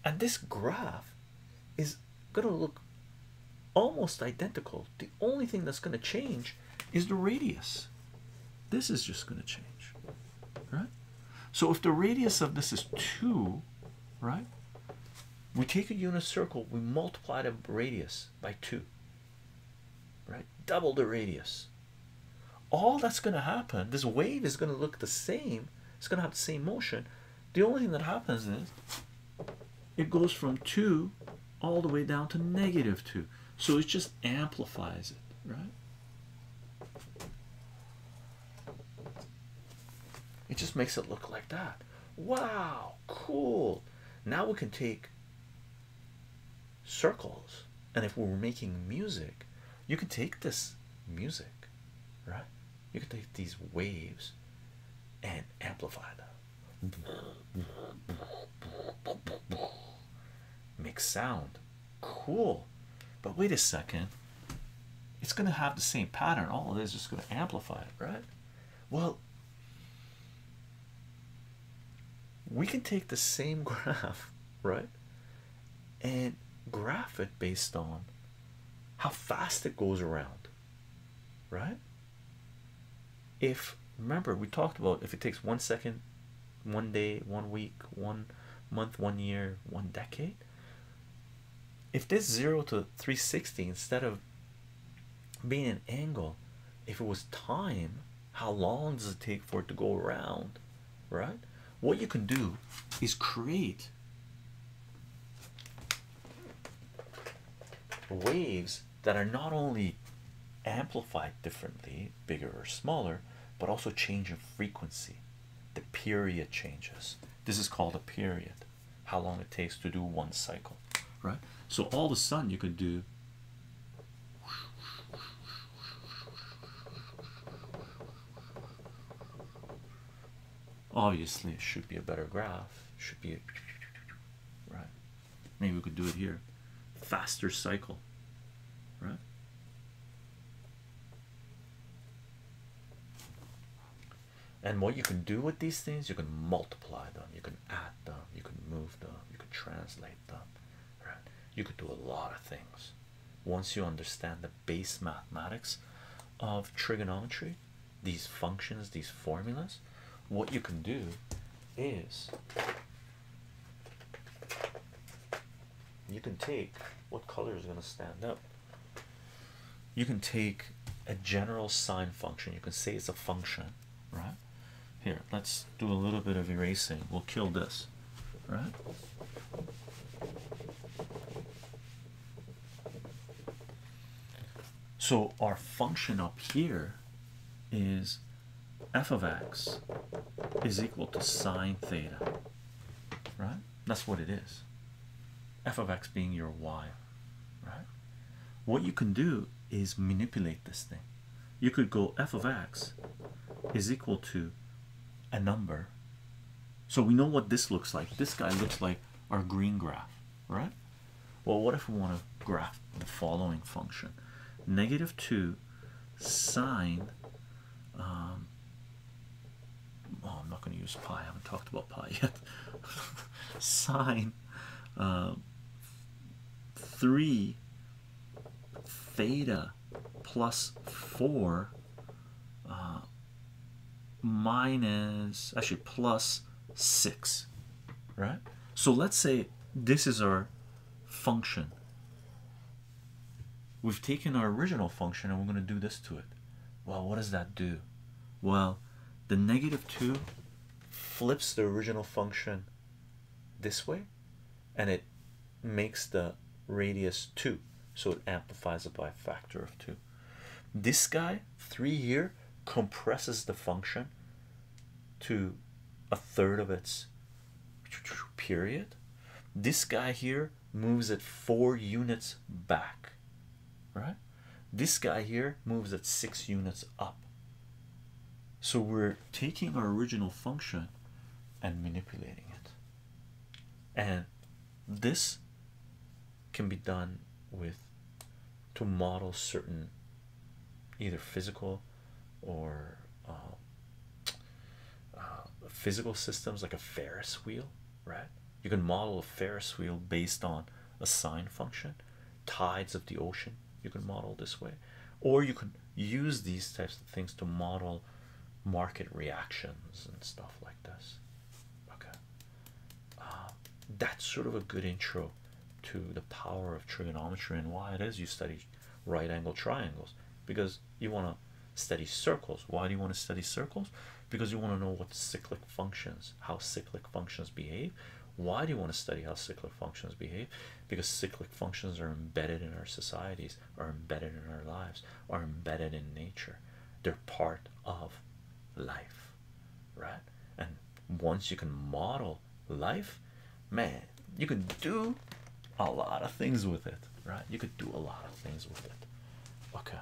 And this graph is going to look almost identical. The only thing that's going to change is the radius. This is just going to change right? So if the radius of this is 2, right? We take a unit circle, we multiply the radius by 2. Right? Double the radius. All that's going to happen, this wave is going to look the same. It's going to have the same motion. The only thing that happens is it goes from 2 all the way down to negative 2. So it just amplifies it, right? It just makes it look like that. Wow, cool. Now we can take circles, and if we are making music, you can take this music, right? You can take these waves and amplify them make sound cool but wait a second it's going to have the same pattern all of this is going to amplify it right well we can take the same graph right and graph it based on how fast it goes around right if remember we talked about if it takes one second one day, one week, one month, one year, one decade. If this 0 to 360 instead of being an angle, if it was time, how long does it take for it to go around? Right? What you can do is create waves that are not only amplified differently, bigger or smaller, but also change in frequency the period changes this is called a period how long it takes to do one cycle right so all of a sudden you could do obviously it should be a better graph should be a right maybe we could do it here faster cycle right and what you can do with these things, you can multiply them, you can add them, you can move them, you can translate them, right? You could do a lot of things once you understand the base mathematics of trigonometry, these functions, these formulas. What you can do is you can take what color is going to stand up. You can take a general sine function, you can say it's a function, right? Here, let's do a little bit of erasing. We'll kill this, right? So our function up here is f of x is equal to sine theta right? That's what it is. F of x being your y, right? What you can do is manipulate this thing. You could go f of x is equal to a number. So we know what this looks like. This guy looks like our green graph, right? Well, what if we want to graph the following function? Negative 2 sine oh, I'm not going to use pi. I haven't talked about pi yet. Sine um, three theta plus four uh, minus actually plus six, right? So let's say this is our function We've taken our original function and we're going to do this to it. Well, what does that do? Well, the negative 2 flips the original function this way and it makes the radius 2. So it amplifies it by a factor of 2. This guy, 3 here, compresses the function to a third of its period. This guy here moves at four units back, right? This guy here moves at six units up. So we're taking our original function and manipulating it. And this can be done with to model certain either physical or um, uh, physical systems like a Ferris wheel, right? You can model a Ferris wheel based on a sine function, tides of the ocean. You can model this way, or you could use these types of things to model market reactions and stuff like this. Okay, uh, that's sort of a good intro to the power of trigonometry and why it is you study right angle triangles because you want to study circles. Why do you want to study circles? Because you want to know what cyclic functions, how cyclic functions behave. Why do you want to study how cyclic functions behave? Because cyclic functions are embedded in our societies, are embedded in our lives, are embedded in nature. They're part of life, right? And once you can model life, man, you can do a lot of things with it, right? You could do a lot of things with it. Okay,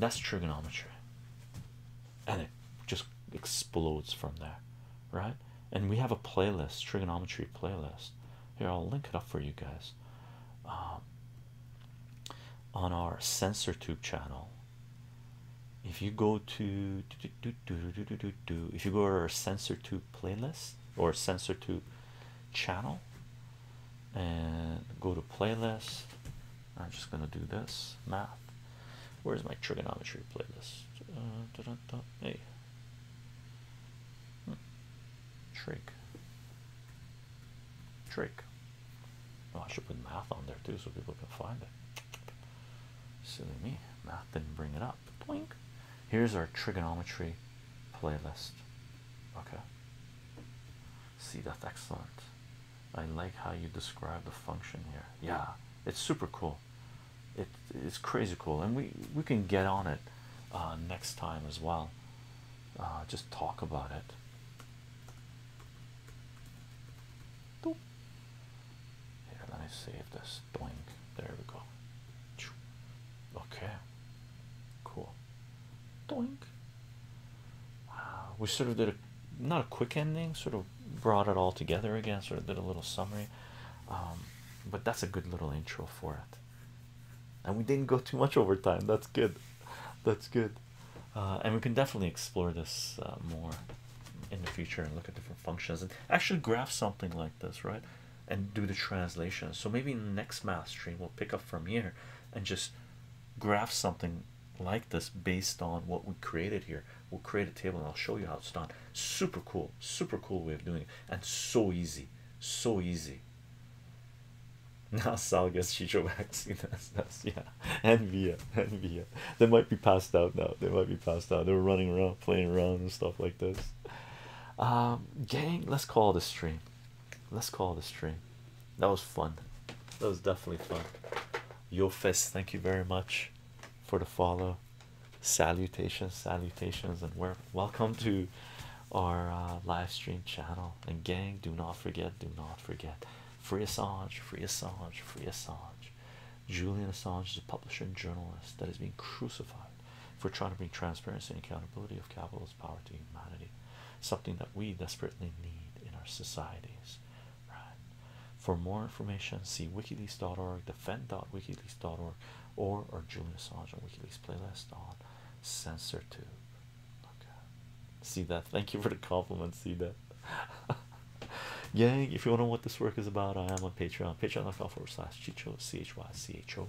that's trigonometry, and it just explodes from there, right? And we have a playlist, trigonometry playlist. Here, I'll link it up for you guys um, on our sensor tube channel. If you go to do, if you go to our sensor Tube playlist or sensor to channel and go to playlist. I'm just gonna do this math. Where's my trigonometry playlist? Uh, hey, hmm. trig, trig. Oh, I should put math on there too, so people can find it. Silly me, math didn't bring it up. Blink. Here's our trigonometry playlist. Okay. See, that's excellent. I like how you describe the function here. Yeah, it's super cool. it's crazy cool, and we we can get on it uh, next time as well. Uh, just talk about it. Here, let me save this. Doink. There we go. Okay. Cool. Doink. Uh, we sort of did a not a quick ending, sort of brought it all together again, sort of did a little summary. Um, but that's a good little intro for it. And we didn't go too much over time. That's good. That's good. Uh, and we can definitely explore this uh, more in the future and look at different functions and actually graph something like this, right? and do the translation. So maybe next math stream we'll pick up from here and just graph something like this based on what we created here. We'll create a table and I'll show you how it's done. Super cool, super cool way of doing it, and so easy, so easy. Now Sal gets Chicho vaccine. That's, that's yeah. And Via, Via. They might be passed out now. They might be passed out. They were running around, playing around, and stuff like this. Um, gang, let's call this stream. Let's call this stream. That was fun. That was definitely fun. Yo fist, thank you very much for the follow. Salutations, salutations, and we're welcome to our uh, live stream channel. And gang, do not forget, do not forget. Free Assange, free Assange, free Assange. Julian Assange is a publisher and journalist that is being crucified for trying to bring transparency and accountability of capitalism power to humanity, something that we desperately need in our societies. Right. For more information, see wikileaks.org, defend.wikileaks.org, or our Julian Assange on WikiLeaks playlist on CensorTube. Okay. See that? Thank you for the compliment. See that? Yeah. if you want to know what this work is about, I am on Patreon. Patreon.com forward slash Chicho, C H Y C H O.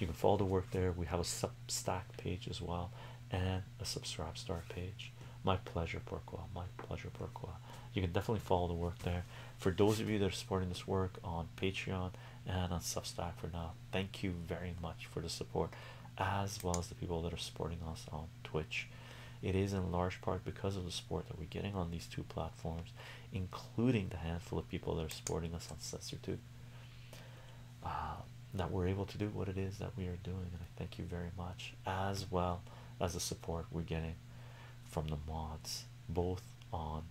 You can follow the work there. We have a sub. Substack page as well, and a Subscribe Star page. My pleasure, Porqua. My pleasure, Porqua. You can definitely follow the work there. For those of you that are supporting this work on Patreon and on Substack for now, thank you very much for the support, as well as the people that are supporting us on Twitch. It is in large part because of the support that we're getting on these two platforms, including the handful of people that are supporting us on Sensor too. Uh, that we're able to do what it is that we are doing. And I thank you very much, as well as the support we're getting from the mods, both on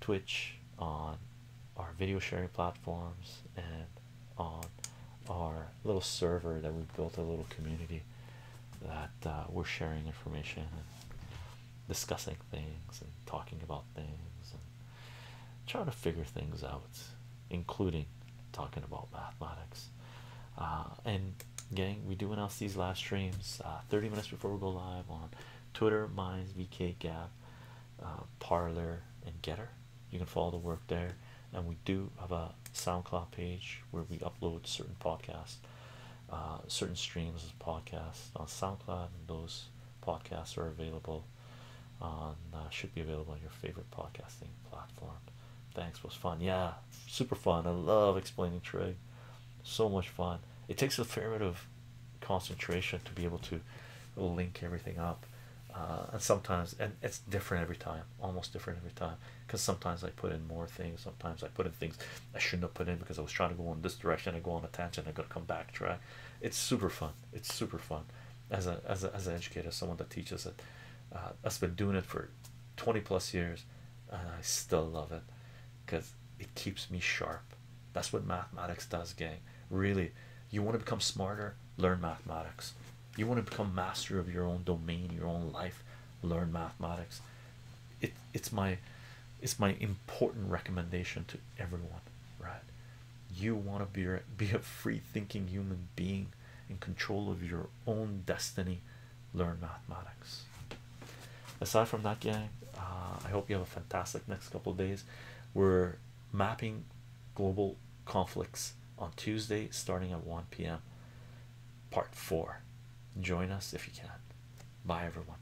Twitch, on our video sharing platforms, and on our little server that we built a little community that uh, we're sharing information and discussing things and talking about things trying to figure things out, including talking about mathematics. Uh, and gang, we do announce these live streams uh, 30 minutes before we go live on Twitter, Minds, VK, Gab, uh, Parlor, and Getter. You can follow the work there. And we do have a SoundCloud page where we upload certain podcasts, uh, certain streams of podcasts on SoundCloud, and those podcasts are available uh, should be available on your favorite podcasting platform. Thanks, was fun. Yeah, super fun. I love explaining trig. So much fun. It takes a fair bit of concentration to be able to link everything up. Uh, and sometimes, and it's different every time, almost different every time, because sometimes I put in more things, sometimes I put in things I shouldn't have put in because I was trying to go in this direction, I go on a tangent, I gotta come back, backtrack it's super fun it's super fun as a as, a, as an educator someone that teaches it uh, that's been doing it for 20 plus years and i still love it because it keeps me sharp that's what mathematics does gang really you want to become smarter learn mathematics you want to become master of your own domain your own life learn mathematics it it's my it's my important recommendation to everyone right you want to be, be a free thinking human being in control of your own destiny, learn mathematics. Aside from that, gang, uh, I hope you have a fantastic next couple of days. We're mapping global conflicts on Tuesday starting at 1 p.m. Part 4. Join us if you can. Bye, everyone.